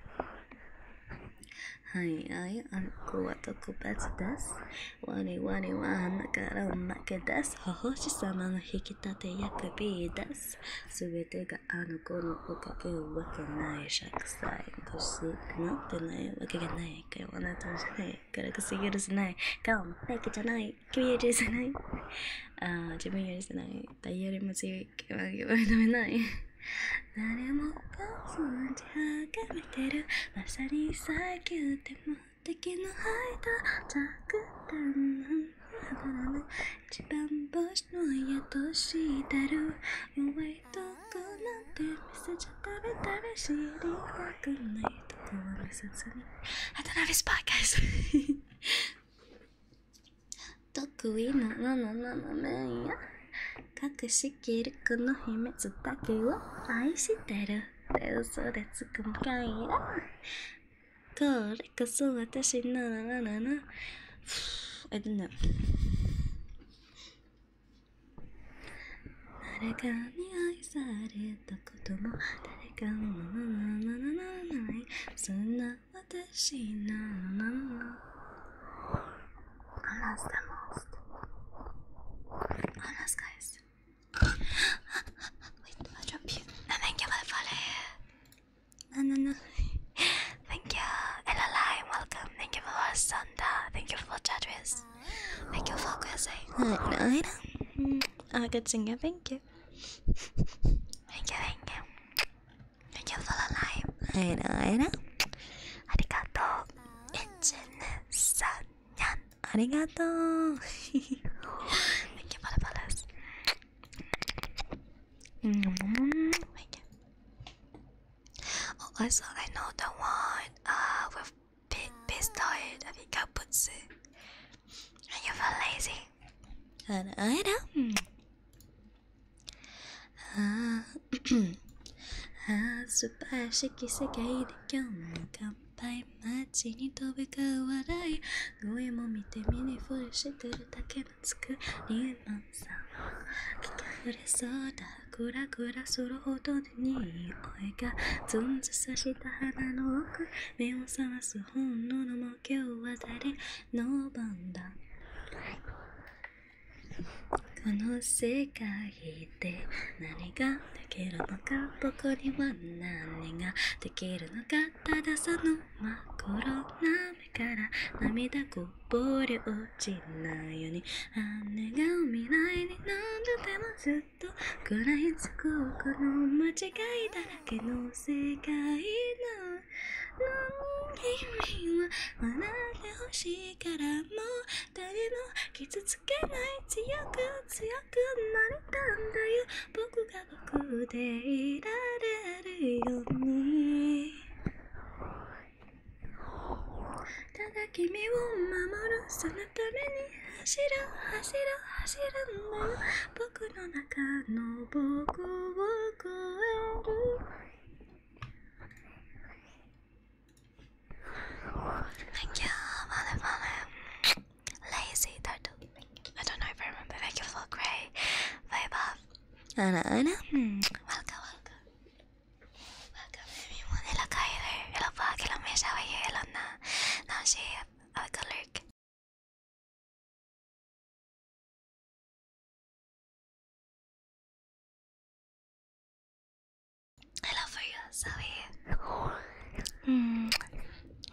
はい、はい、あんこは特別です。わりわりは穴からおまけです。お星様の引き立て役 B です。すべてがあの子のおかげわけないしゃくさい。こしなってないわけがない。かよ、あなたじゃない。からこそ許せない。顔も背景じゃない。君許せない。ああ、自分許せない。誰よりも強い。気は認めない。誰もこそ打ちはがめてるまさに最強でも敵のハイド着弾なん一番星の宿してる弱いとこなんて見せちゃダメダし知りたくないとこは見せずに渡辺スパーカーズ得意なののののめんや隠ししきるこの秘密だけを愛してるって嘘でつくんかいなこれこそ私ならならなえっとね誰かに愛されたことも誰かのなななななななそんな私ならならな Almost, almost. Almost, guys. Wait, I'll thank you for the follow. No, no, no. thank you. Elalai, welcome. Thank you for Santa. Thank you for Chatris. Thank you for Quizay. Alright. I'm a good singer. Thank you. thank you, thank you. Thank you for the live. Alright. Arigato. Echen-san-yan. [LAUGHS] Thank you for the Oh, I know the one uh, with big pistoid. I think I put it. Are you lazy? And I know. ああ素晴らしき世界で今日も乾杯街に飛び交う笑い声も見て見ぬふりしてるだけつの作ーマンさん溢れそうだグラグラするほどでに、いがずんずさした鼻の奥目を覚ます本能のも今日は誰の番だこの世界で何ができるのか僕には何ができるのかただその真っ黒な目から涙こぼれ落ちないように姉が未来に何度でもずっと食らいつくこの間違いだらけの世界の君は笑ってほしいからもう誰も傷つけない強く強くなれたんだよ僕が僕でいられるようにただ君を守るそのために走る走る走るんだ僕の中の僕を Thank you, Mother Mother. Lazy I don't know if I remember. Thank you for grey. Bye, Bob. Anna, Anna. Hmm. Welcome, welcome. Welcome, everyone. Hello, Kyler. Hello, Bug. Hello, Mish. How are you? Hello, Na. Now she have a good look. I love you, Zoe. Mm.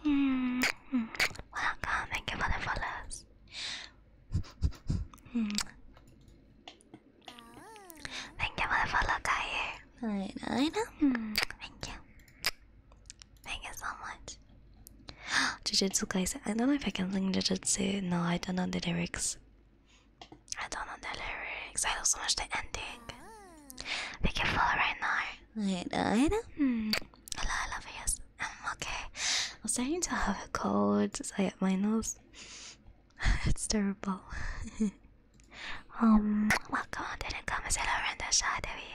Mm. Mm. Welcome, thank you for the follows. mm. Thank you for the follow, guy. I know, I know. Mm. Thank you. Thank you so much. [GASPS] Jujutsu I don't know if I can sing Jujutsu. No, I don't know the lyrics. I don't know the lyrics. I love so much the ending. can careful right now. Wait, hmm. I don't. Hello, I love you. Yes, I'm um, okay. I'm starting to have a cold. So I my nose. [LAUGHS] it's terrible. [LAUGHS] um, welcome. Didn't come as hello, Randa Shadevi.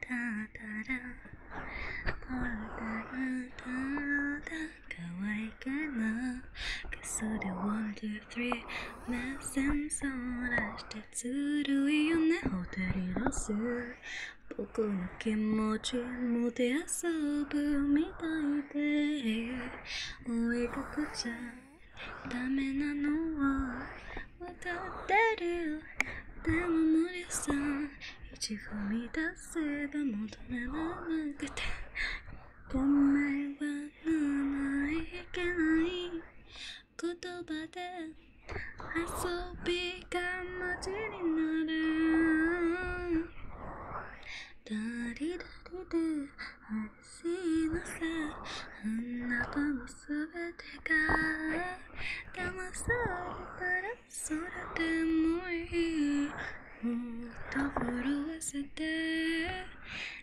タタラほらタタ可愛いかなかそで、ワン、ツー、スリー目線そらしてずるいよねホテルロス僕の気持ちもて遊ぶみたいで追いかけちゃダメなのは分かってるでも無理さ一踏み出せば求められなくてごめんはないけない言葉で遊びが街になるダリダリで愛しいのさあなたのすべてが騙されたら空でもいいもっと震せて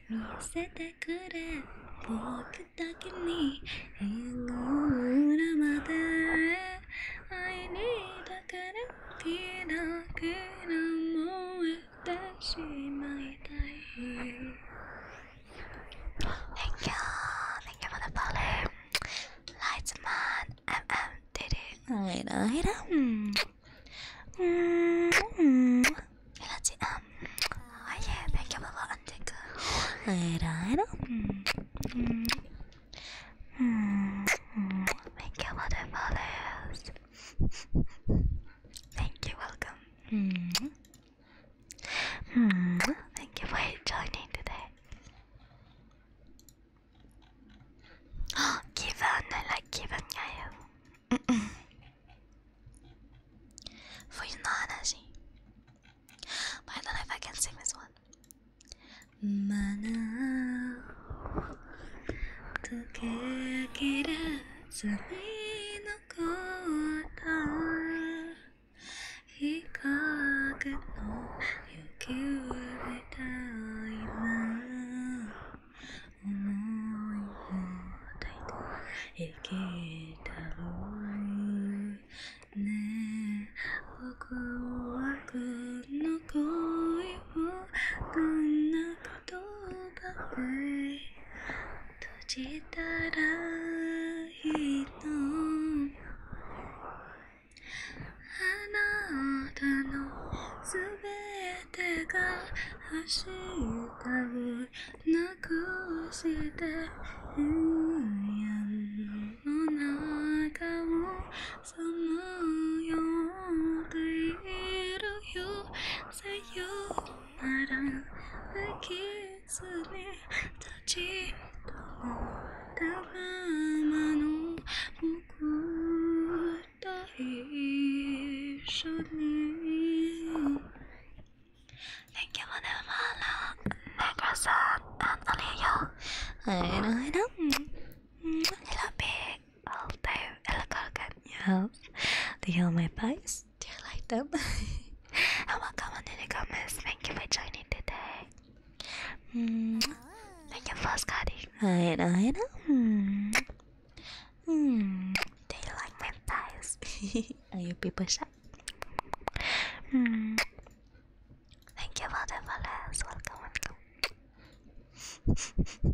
見せてくれ僕だけに縁の裏まで I need だから a n k o u t h a n you for the b a l Lightsman, MM did it. Alright, alright. Mm -hmm. Oh yeah, thank you for the undergo. Alright, alright. Mm -hmm. -hmm. Thank you for the follows. Thank you, welcome. -hmm. -hmm. Thank you for joining today. Oh, Given, I like Given, yeah. For you, not energy. But I don't know if I can sing this one. Mana, 日陰の雪を見た今思いを抱いて生きたろうねえ、僕はこの恋をどんな言葉で閉じたらいいのあなたのすべてが明日をなくして部屋の中をさまよっているよさよならでき切に立ち止まったままの僕と一緒に Thank you for the follow, Negrosa and Aliyo. I know, I know. Hello, big, all time, hello, Kalkan. Yes. Do you have my pies? Do you like them? and [LAUGHS] welcome on the comments. Thank you for joining today. Make your first cottage. I know, I know. Hmm. Hmm. Do you like my thighs? [LAUGHS] Are you people shy? Hmm. Thank you for the follows. Welcome, welcome.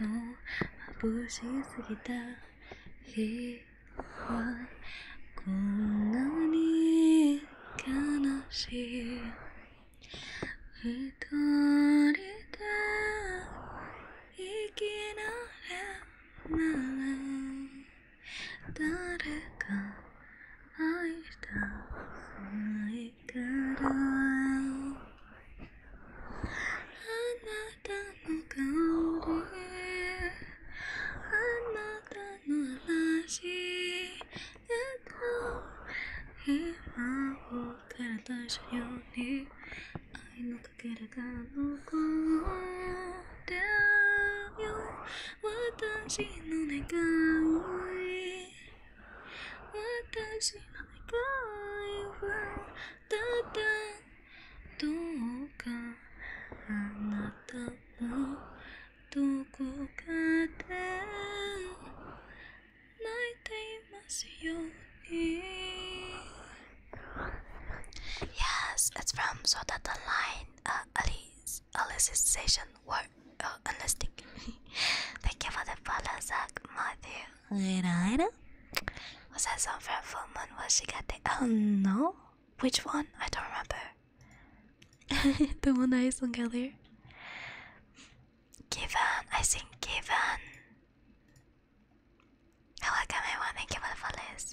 の眩しすぎた日はこんなに悲しい二人で生きられない誰か愛したないあなたの香りあなたの話でも今を体出したより。愛のかけらが残ってよ私の願い私の願いはただどうかあなたのどこかで泣いていますように Yes, it's from Sodata Line, uh, Alice, Alice's session work. Oh, anlastik. [LAUGHS] Thank you for the follow, Zach Matthew. Later, later. Was that song from Full Was she got the? Oh no, which one? I don't remember. [LAUGHS] the one I sung earlier. Given, I sing given. I welcome give up you for the follows.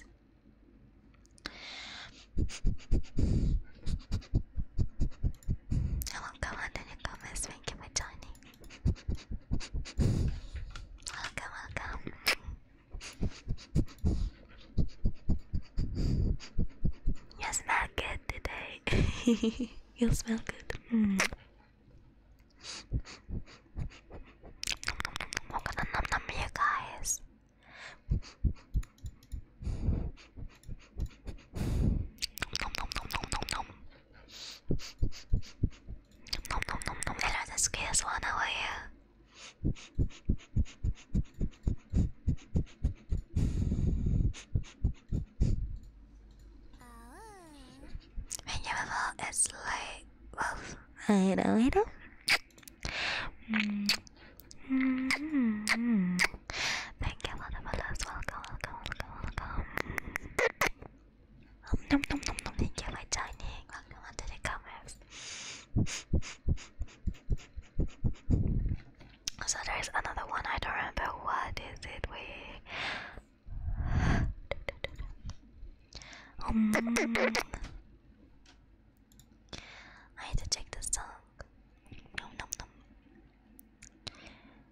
Hello, [LAUGHS] comment and your comments. Thank you for joining. Welcome, welcome. You smell good today. [LAUGHS] you smell good. Mm. i gonna nom nom you guys. Nom nom nom nom nom nom. Nom nom nom nom. Hello, the scarce one. How are you? When you fall, it's like wolf. I know it. Thank you for the follows. welcome, welcome. Nom nom nom nom thank you for joining. Welcome to the comments. so there's another one, I don't remember what is it we um, I need to check the song. Nom nom nom.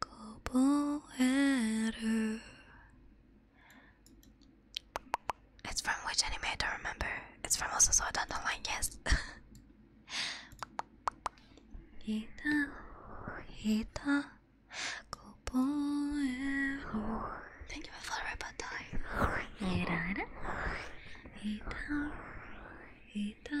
Koboeru. It's from which anime? I don't remember. It's from also so I like yes. Hita Hita Koboeru. Thank you for the Hita Hita Hita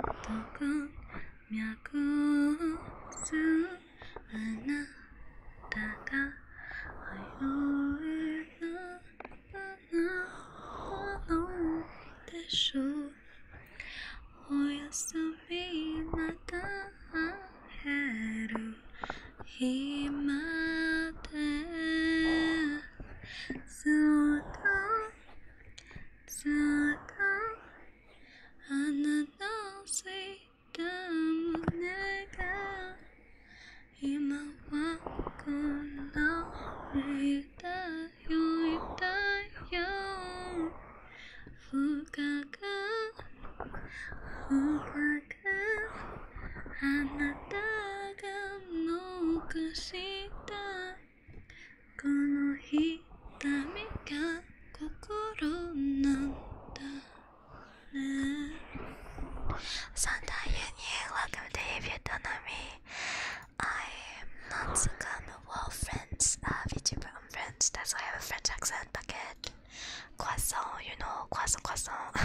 どこ脈打つあなたが迷うなほのでしょうおやすみまた会へる日までそうださがあなたを好いた胸が今はこんなに痛いよ痛いよ深く深くあなたが残したこのひたみが心なんだね Santa Yunye, welcome to Vietnamese. I am not so kind of well friends, uh, VTuber I'm friends, that's why I have a French accent bucket. Croissant, you know, croissant, croissant.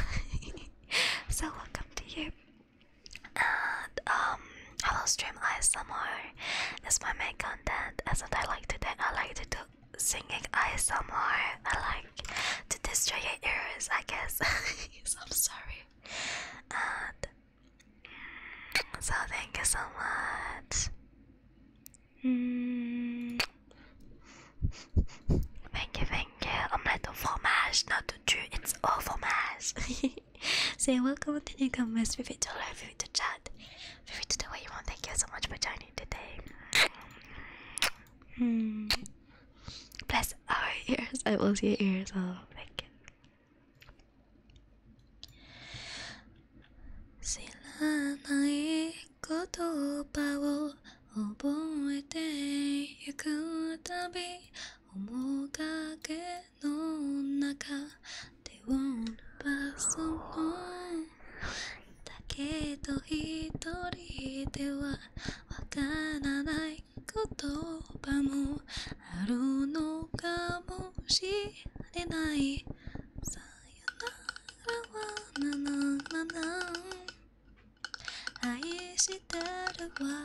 [LAUGHS] so welcome to you. And um, I will stream ASMR. It's my main content. As I like to do, I like to do singing ASMR. I like to destroy your ears, I guess. so [LAUGHS] I'm sorry. And mm, so thank you so much. Mm. Thank you, thank you. I'm not to fromage, not to it's all fromage. [LAUGHS] Say [LAUGHS] welcome to the comments, feel free to like, feel free to chat, feel free to do what you want. Thank you so much for joining today. Hmm. Bless our ears. I will see your ears. Oh, thank you. の中でを伸ばすのだけど一人ではわからない言葉もあるのかもしれないさよならはなななな愛してるわ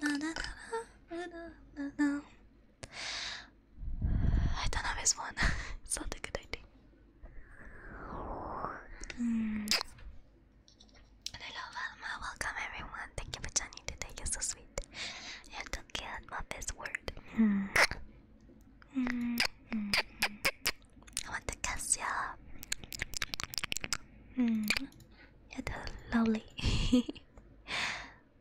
なななななな [SIGHS] I don't have his one. [LAUGHS] it's not a good idea. Mm. Alma. Welcome everyone. Thank you for joining today. You're so sweet. You took care of word. Mm. I want to kiss you. Mm. You're so lovely. [LAUGHS]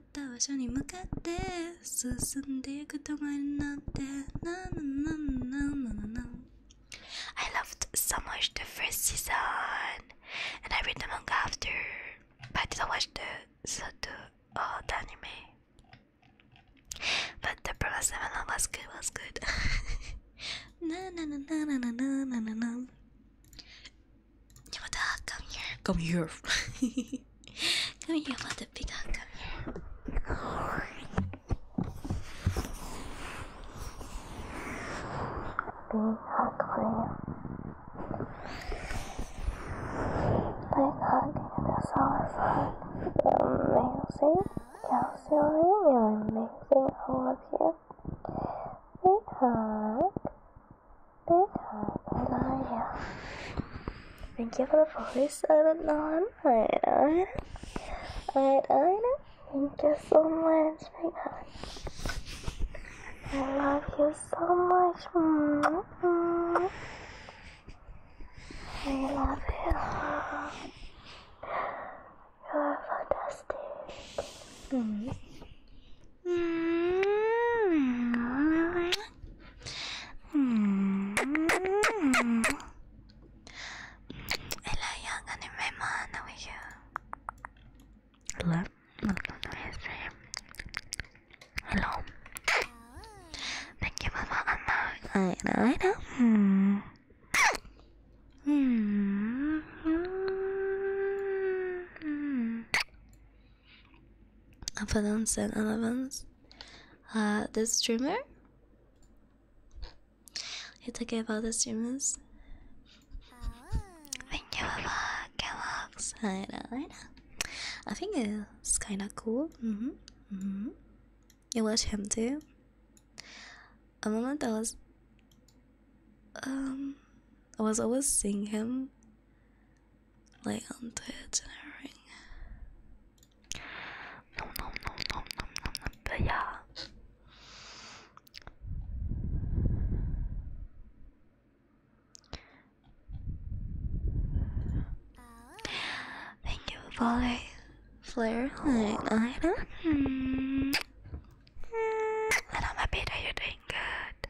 I loved so much the first season and I read the manga after but didn't watch the, so the, uh, anime but the Prola was good, was good. What Come here. Come here. come here, mother pig. Come here. Big hug for you. Big hug. That's all I've heard. Amazing. Kelsey, you're amazing. I love you. Big hug. Thank you for the voice. I don't know. Alright, alright. Alright, alright. Thank you so much, my God. I love you so much. Mm -hmm. I love you. You are fantastic. Mm -hmm. Έλα η Άγγανη με μάνα μου είχε. Hello, Hello. Thank you for the amount. I know, I know. Hmm. Hmm. Opponents and Elevens. Uh, this streamer? You're about the streamers? Ah. I know, I know. I think it's kinda cool. Mm-hmm, mm-hmm. You watch him too? A moment I was. Um. I was always seeing him Leon on the everything. No, no, no, no, no, no, no, but yeah. Thank you, Volley. Flare, like, I do mm. And I'm happy that you're doing good.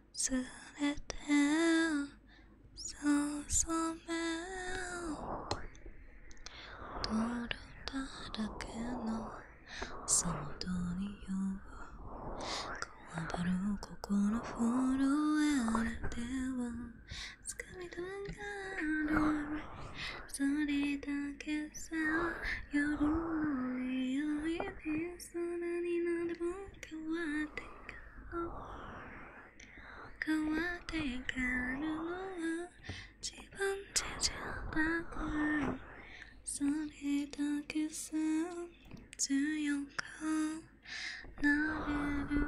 すべてすめを取ただけのその通りよ怖がる心震えては掴みたがるそれだけさ夜の匂いにそんなになでも変わって変わってくるのは自分自身だからそれだけさ強くなれる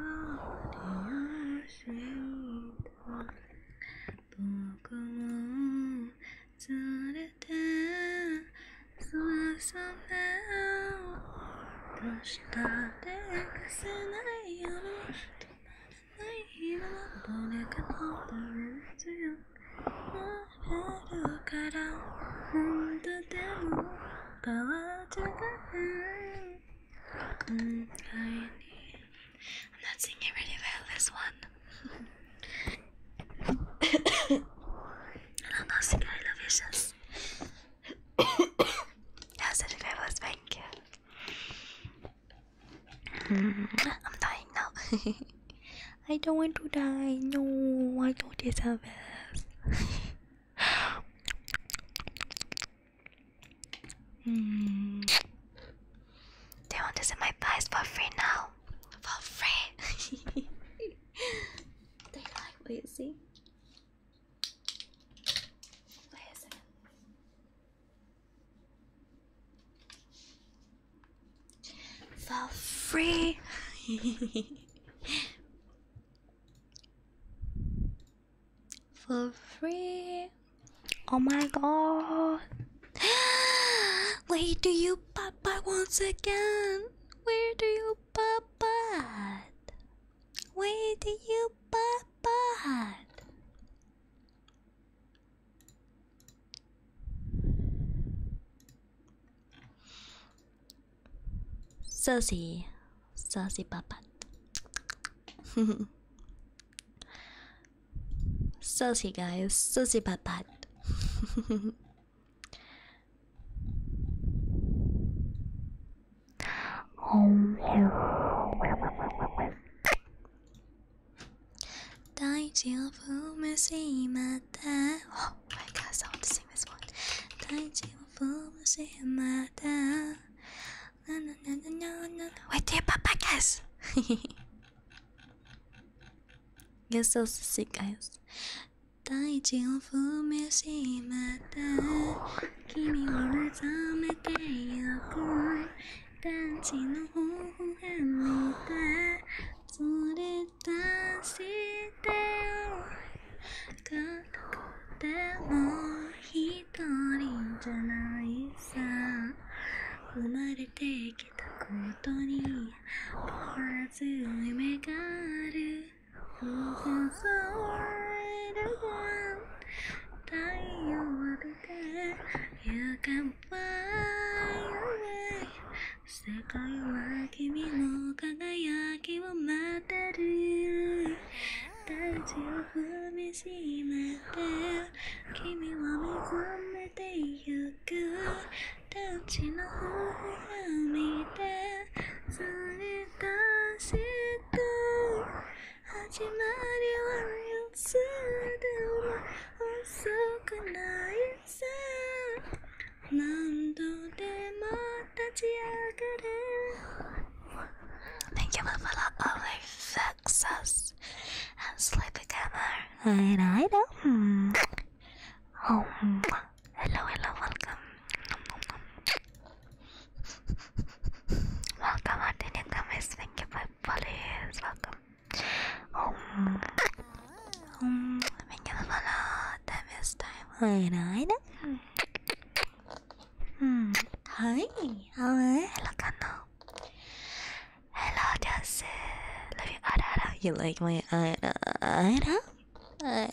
理由知った僕も連れてそわそわどうしたってかせないよ止まらない今のどれかのどれ強くなれるから本当でも変わっちゃうん I need I'm not singing really well this one I am dying now. I don't want to die. No, I don't deserve this. mm. [LAUGHS] They want to see my thighs for free now. For free. [LAUGHS] [LAUGHS] they like what Wait For free. [LAUGHS] For free. Oh my god. [GASPS] Wait, do you papa once again? where do you pop at? Where do you pop at? Saucy, saucy papat. [LAUGHS] Saucy guys, saucy papat. [LAUGHS] Oh my god, I want to sing this one. Wait there, Papa guys. You're so sick guys. 大地を踏みしまった君を目覚めてゆく男子の頬が見た連れ出してよ片言も一人じゃないさ生まれてきたことに変わず夢がある Open the world one 太陽を浴びて y o 世界は君の輝きを待ってる大地を踏みしめて君を見込めていく。く立ちの方を見てそれ出した始まりは要するも遅くないさ何度でも立ち上がれ Thank you for the lovely success and sleepy camera. I know. I know. Oh. Hello, hello, welcome. welcome, Artinian Gomez. Thank you for followers. Welcome. Oh, thank you for follow. That is time. Hi, right? Hmm. Hi. Hi. Hello, Kano. Hello, Jesse. Love you, Arara. You like my Arara? Thank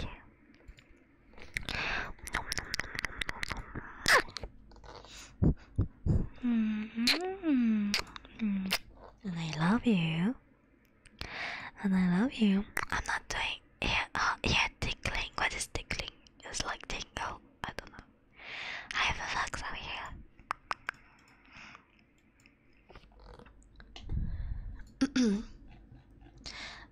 you. Mm -hmm. And I love you. And I love you. I'm not doing ear, oh, uh, yeah, tickling. What is tickling? It's like tingle. I don't know. [CLEARS THROAT]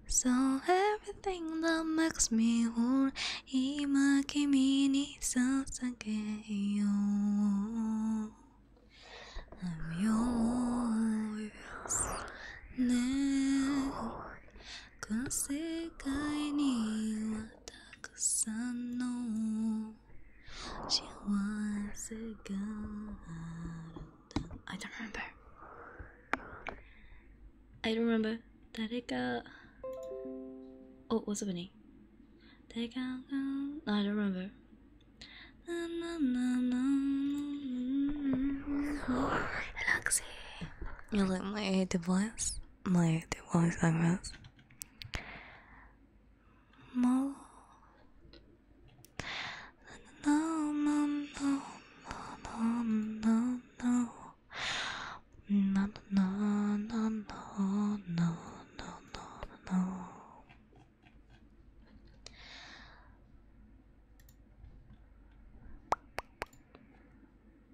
so everything that makes me whole, ima kimi ni sasageyo. I'm yours. この世界にはたくさんの幸せがあるんだ I don't remember I don't remember 誰か Oh, what's happening? 誰か I don't remember ななななな Relaxing You like my device? my Diwali segments. No. No, no, no, no, no, no, no, no, no, no, no, no, no, no.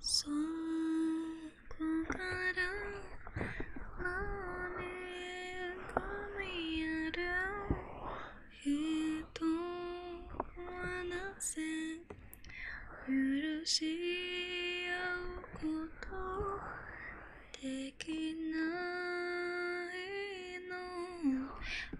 そこから何か見やる人はなぜ許し合うことできないの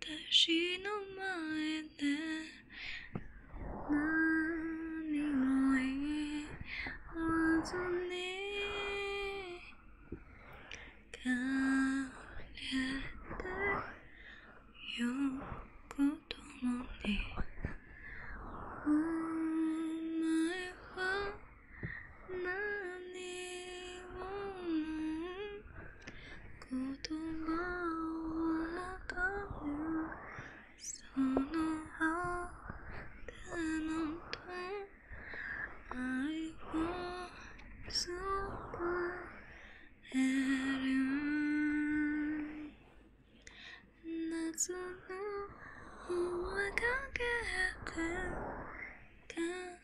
私の前で何を言わずに枯れてよくともにお前は何を言葉を運ぶそのあたのと愛を伝える夏の終わりか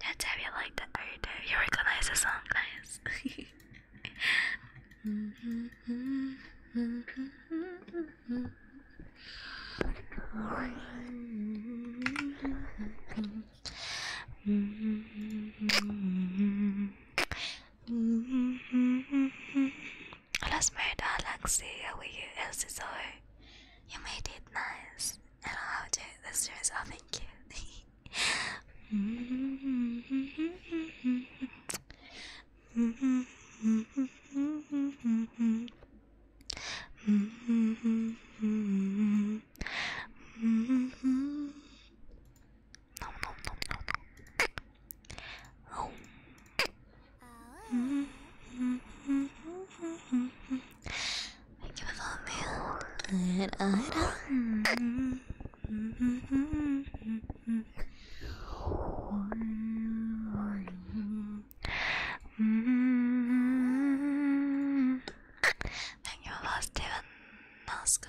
That's how you like the order. You recognize the song, guys. Let's murder Alexi. Are we here? Else is you made it nice. I don't have to do this yourself, oh, thank you. Nom [LAUGHS] nom [LAUGHS] Thank you for me. Thank you for Steven Nascar.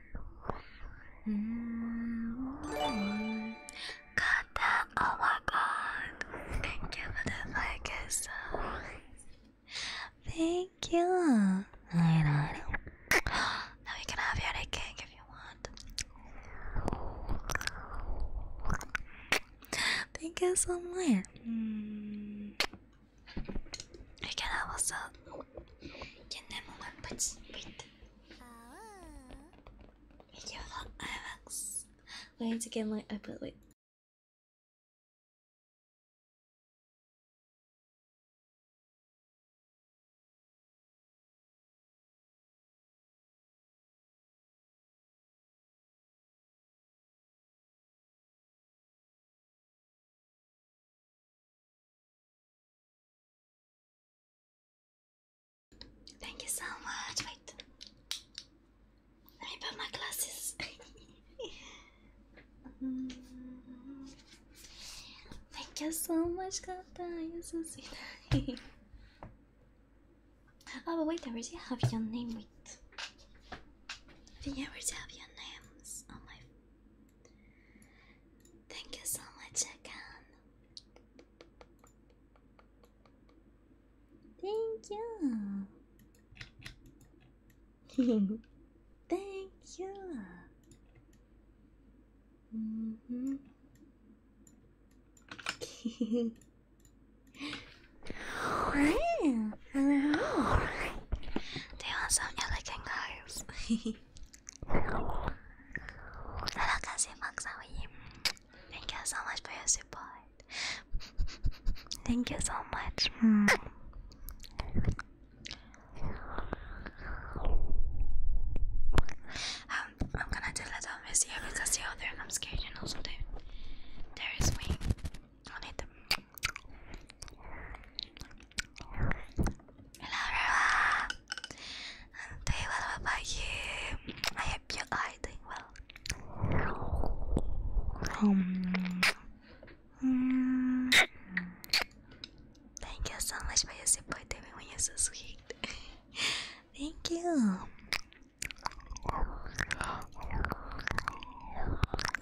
Mm. Oh my god! Thank you for the like Thank you! Alright, alright. Now you can have your cake if you want. Thank you so much. I can also get them on my punch Wait. video for IMAX. Wait to get my output Wait. Thank you so much. Wait. Let me put my glasses. [LAUGHS] Thank you so much, Kata. [LAUGHS] oh, wait, I already have your name. Wait. I think have your names on oh, my Thank you so much again. Thank you. [LAUGHS] Thank you. Mm -hmm. Hello. They are some elegant guys. [LAUGHS] Thank you so much for your support. Thank you so much. Um, I'm gonna do a little mess because the other i scared and also there there is wing Hello everyone! i what about you? I hope you are doing well. Um, thank you so much for your support, even when sweet. [LAUGHS] thank you!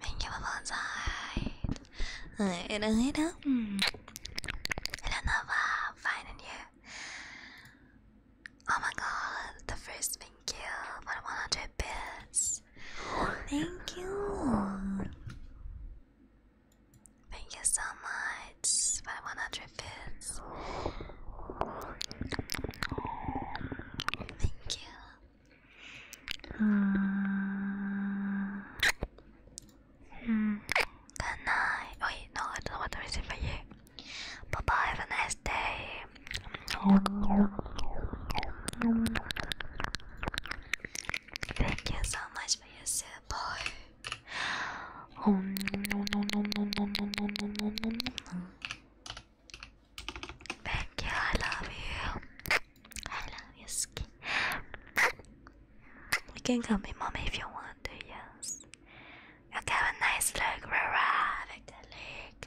Thank you for side. It is it. Another finding you. Oh my god, the first thank you for 100 bits. Thank you. Thank you so much for 100 bits. Thank you. Good night. Oh, wait, no, I don't know to receive for Bye bye, have a nice day. Thank you so much for your support. Oh no no no no no no no no no no Thank you, I love you. I love your skin. You can call me mommy if you want to, yes. You have a nice look, Rara. Like the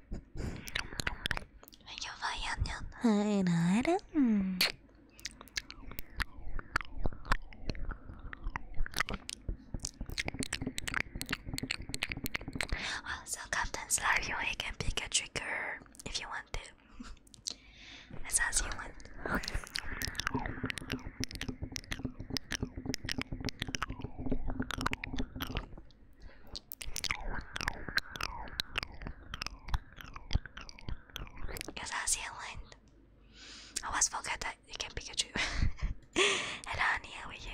Thank you for your new night item. Also, Captain Slar, you can pick a trigger if you want to. as you want. Because that's Zealand. I always forget that you can Pikachu. [LAUGHS] and I'm here with you.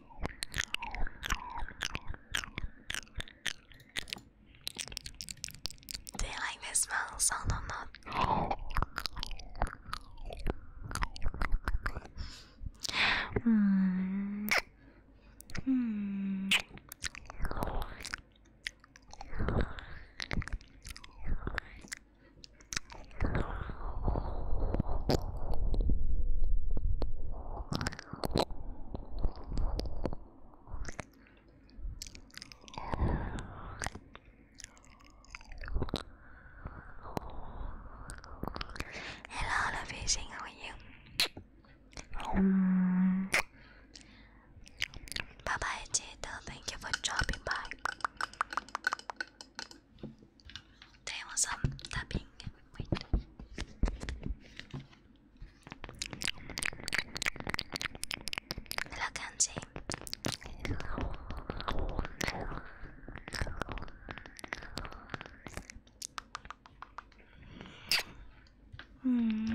Do you like this smell sound or not? Mm. Mm. Hello, Lovation, how are bye bye, Jada. Thank you for dropping by. There was some um, tapping. Wait. Hello, Kanji. Mm.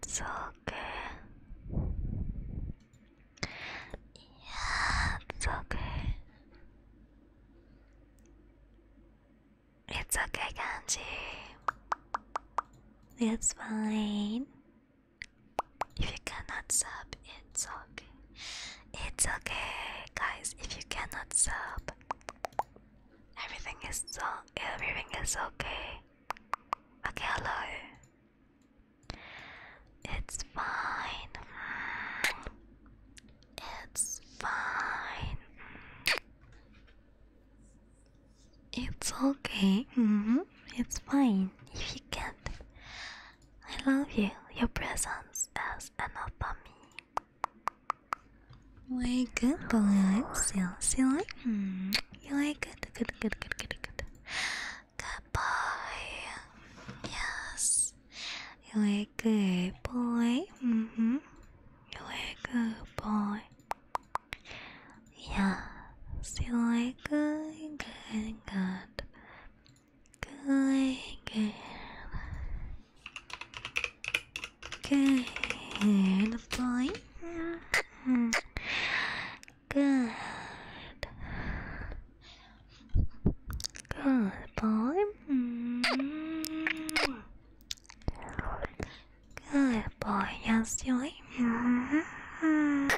It's okay. it's okay. It's okay, Kanji. It's fine. If you cannot sub, it's okay. It's okay, guys. If you cannot sub, Everything is so everything is okay. Okay, hello. It's fine. It's fine. It's okay. Mm-hmm. It's fine. If you can't, I love you. Your presence is enough for me. Way good boy, still, still like, hmm. you like good, good, good, good, good, good, good boy. Yes, you like good boy. Mm hmm, you like good boy. Yeah, still like good, good, good, good, good. Good boy. Good. Good boy. Good boy. Yes, Joy. Mm-hmm.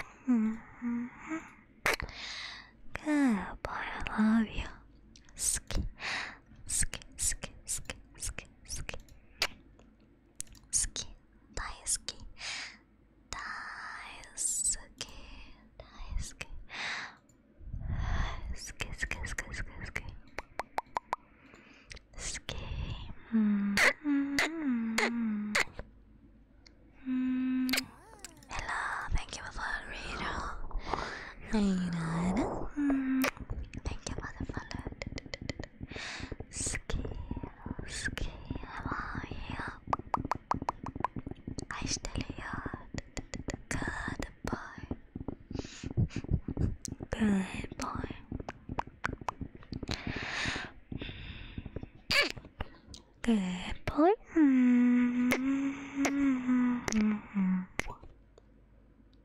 Good boy. I love you. Sk, sk, sk, sk, sk ski, ski, daisuki, daisuki, daisuki, ski, ski, ski, ski, ski, ski. Mm -hmm. mm. Hello, thank you for the reader. Thank you for the Ski, ski, how are you? I still here. Good boy. Good boy. Good boy. Mm -hmm.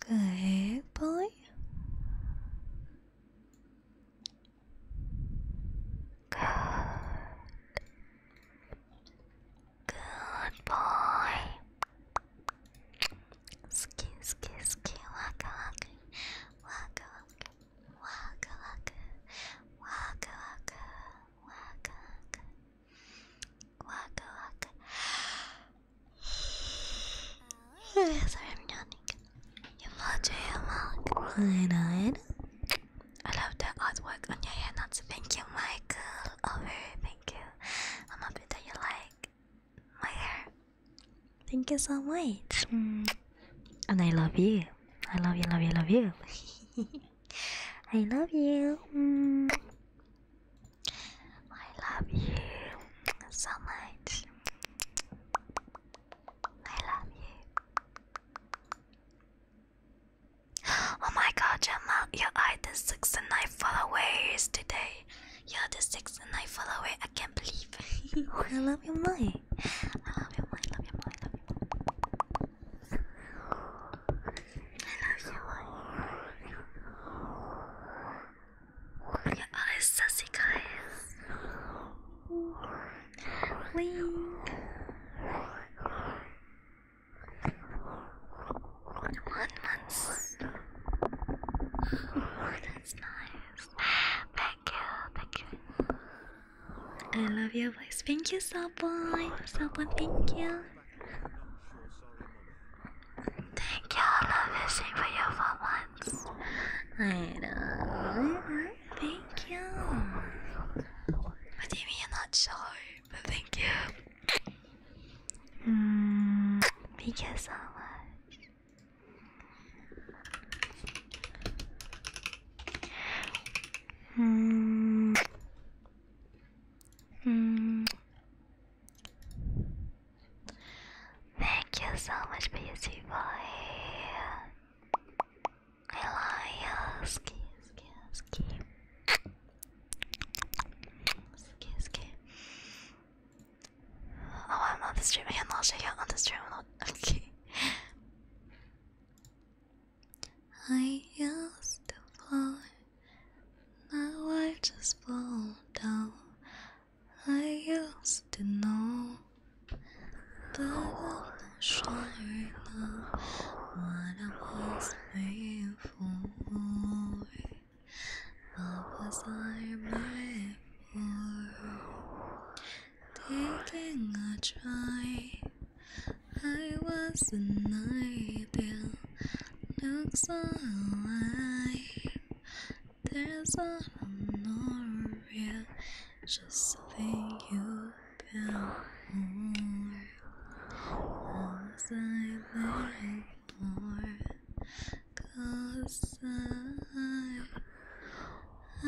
Good boy. Good. Good boy. Ski ski ski waka waka waka waka waka waka waka Waka waka. [SIGHS] I'm yawning. Emoji, right? I love the artwork on your hair. Not so thank you, Michael. Over, oh, thank you. I'm happy that you like my hair. Thank you so much. And I love you. I love you, love you, love you. [LAUGHS] I love you. I love you so much. I love you. Oh my god, your mom, your eye the 69 followers today. You're the 69 follower, I can't believe. [LAUGHS] I love you, mom. I love you, mom. love you, mom. love you. I Look at all these sassy guys. Wing. One month. that's nice. Thank you, thank you. I love your voice. Thank you, So much. thank you. Thank you, I love this thing for for once. I know. Thank you. What do not sure? But thank you. Mm, thank you so much. Mm. mm. Thank you so much, beauty boy. I love you. Ski, ski, ski. Ski, oh, ski. I'm on the stream. I can not check on the stream. I'm [LAUGHS] Okay. Now I just fall down. I used to know that I'm not sure now what I was made for. What was I made for? Taking a try, I was an idea. Looks alright. There's an honoria just think you about more. I there more? I, I, I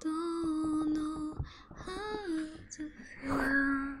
don't know how to feel.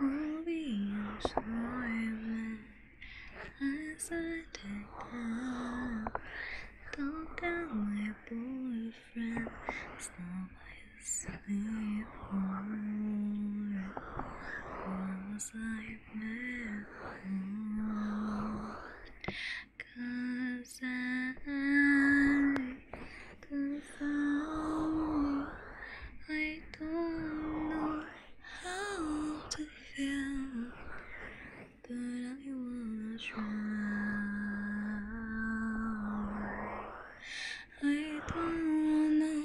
All these moments as I take up Don't tell my boyfriend Stop I sleep more Once I met Cause I sacrifice. I don't know how to feel, but I wanna try. I don't know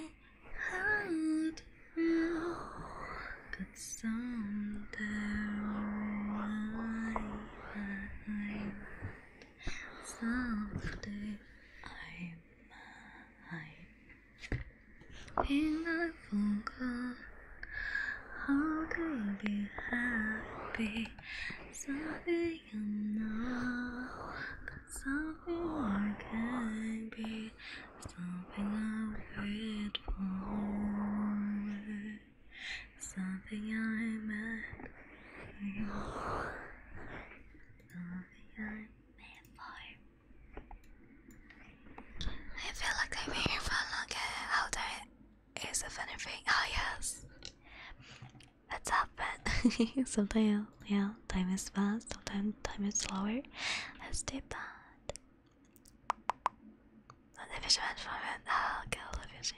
how to feel, but someday I might, someday I mind. And I forgot how to be happy. Something i know, not, something I can be, something I wait for, something I met for, something I. I feel like I've been here for a long time. How there is if anything. Oh yes. That's happened. [LAUGHS] sometimes yeah, time is fast, sometimes time is slower. Let's take that. Not the fisherman from it. Oh, girl, the fishing.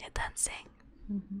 you dancing. Mm-hmm.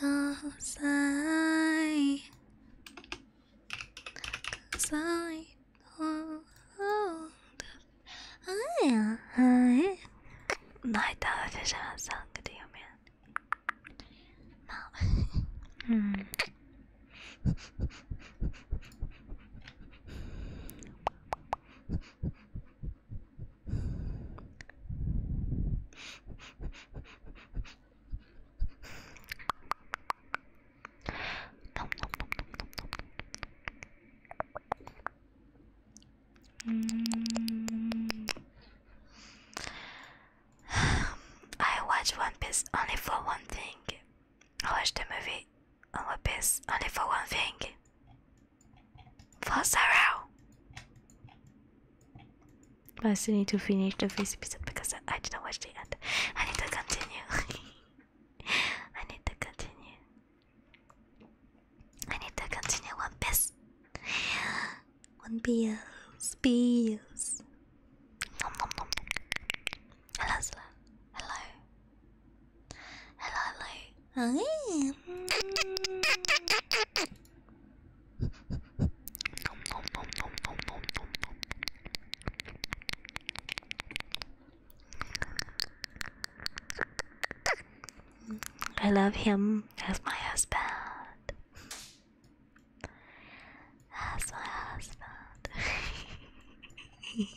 Go outside. Cause I don't Ay, ay. Ay, tava fechando a saca, tenho medo. Não. hum. Mm. [SIGHS] I watch One Piece only for one thing. I watch the movie on One Piece only for one thing. For Sarah. But I still need to finish the first episode because I didn't watch the end. I need to continue. [LAUGHS] I need to continue. I need to continue One Piece. One Piece. Piece. Nom nom nom. Hello, Zla. Hello. Hello, hello. Hi. I love him as my husband. As my husband. [LAUGHS]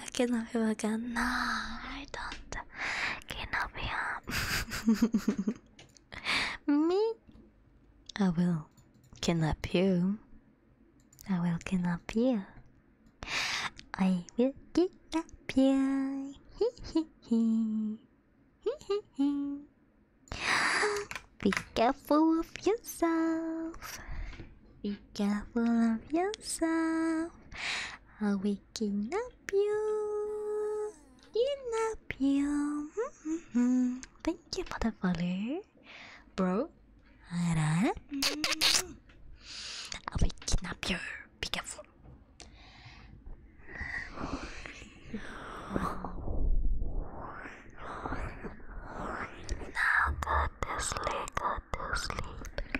I cannot be again. No, I don't. Cannot be up. Me? I will kidnap you. I will kidnap you. I will kidnap you. Hee hee hee. Hee hee hee. Be careful of yourself. Be careful of yourself. I'll be I can you. You love you. Mm -hmm. Thank you for the follow, bro. I will mm-hmm. kidnap you. Be careful. [SIGHS] Now go to sleep, go to sleep.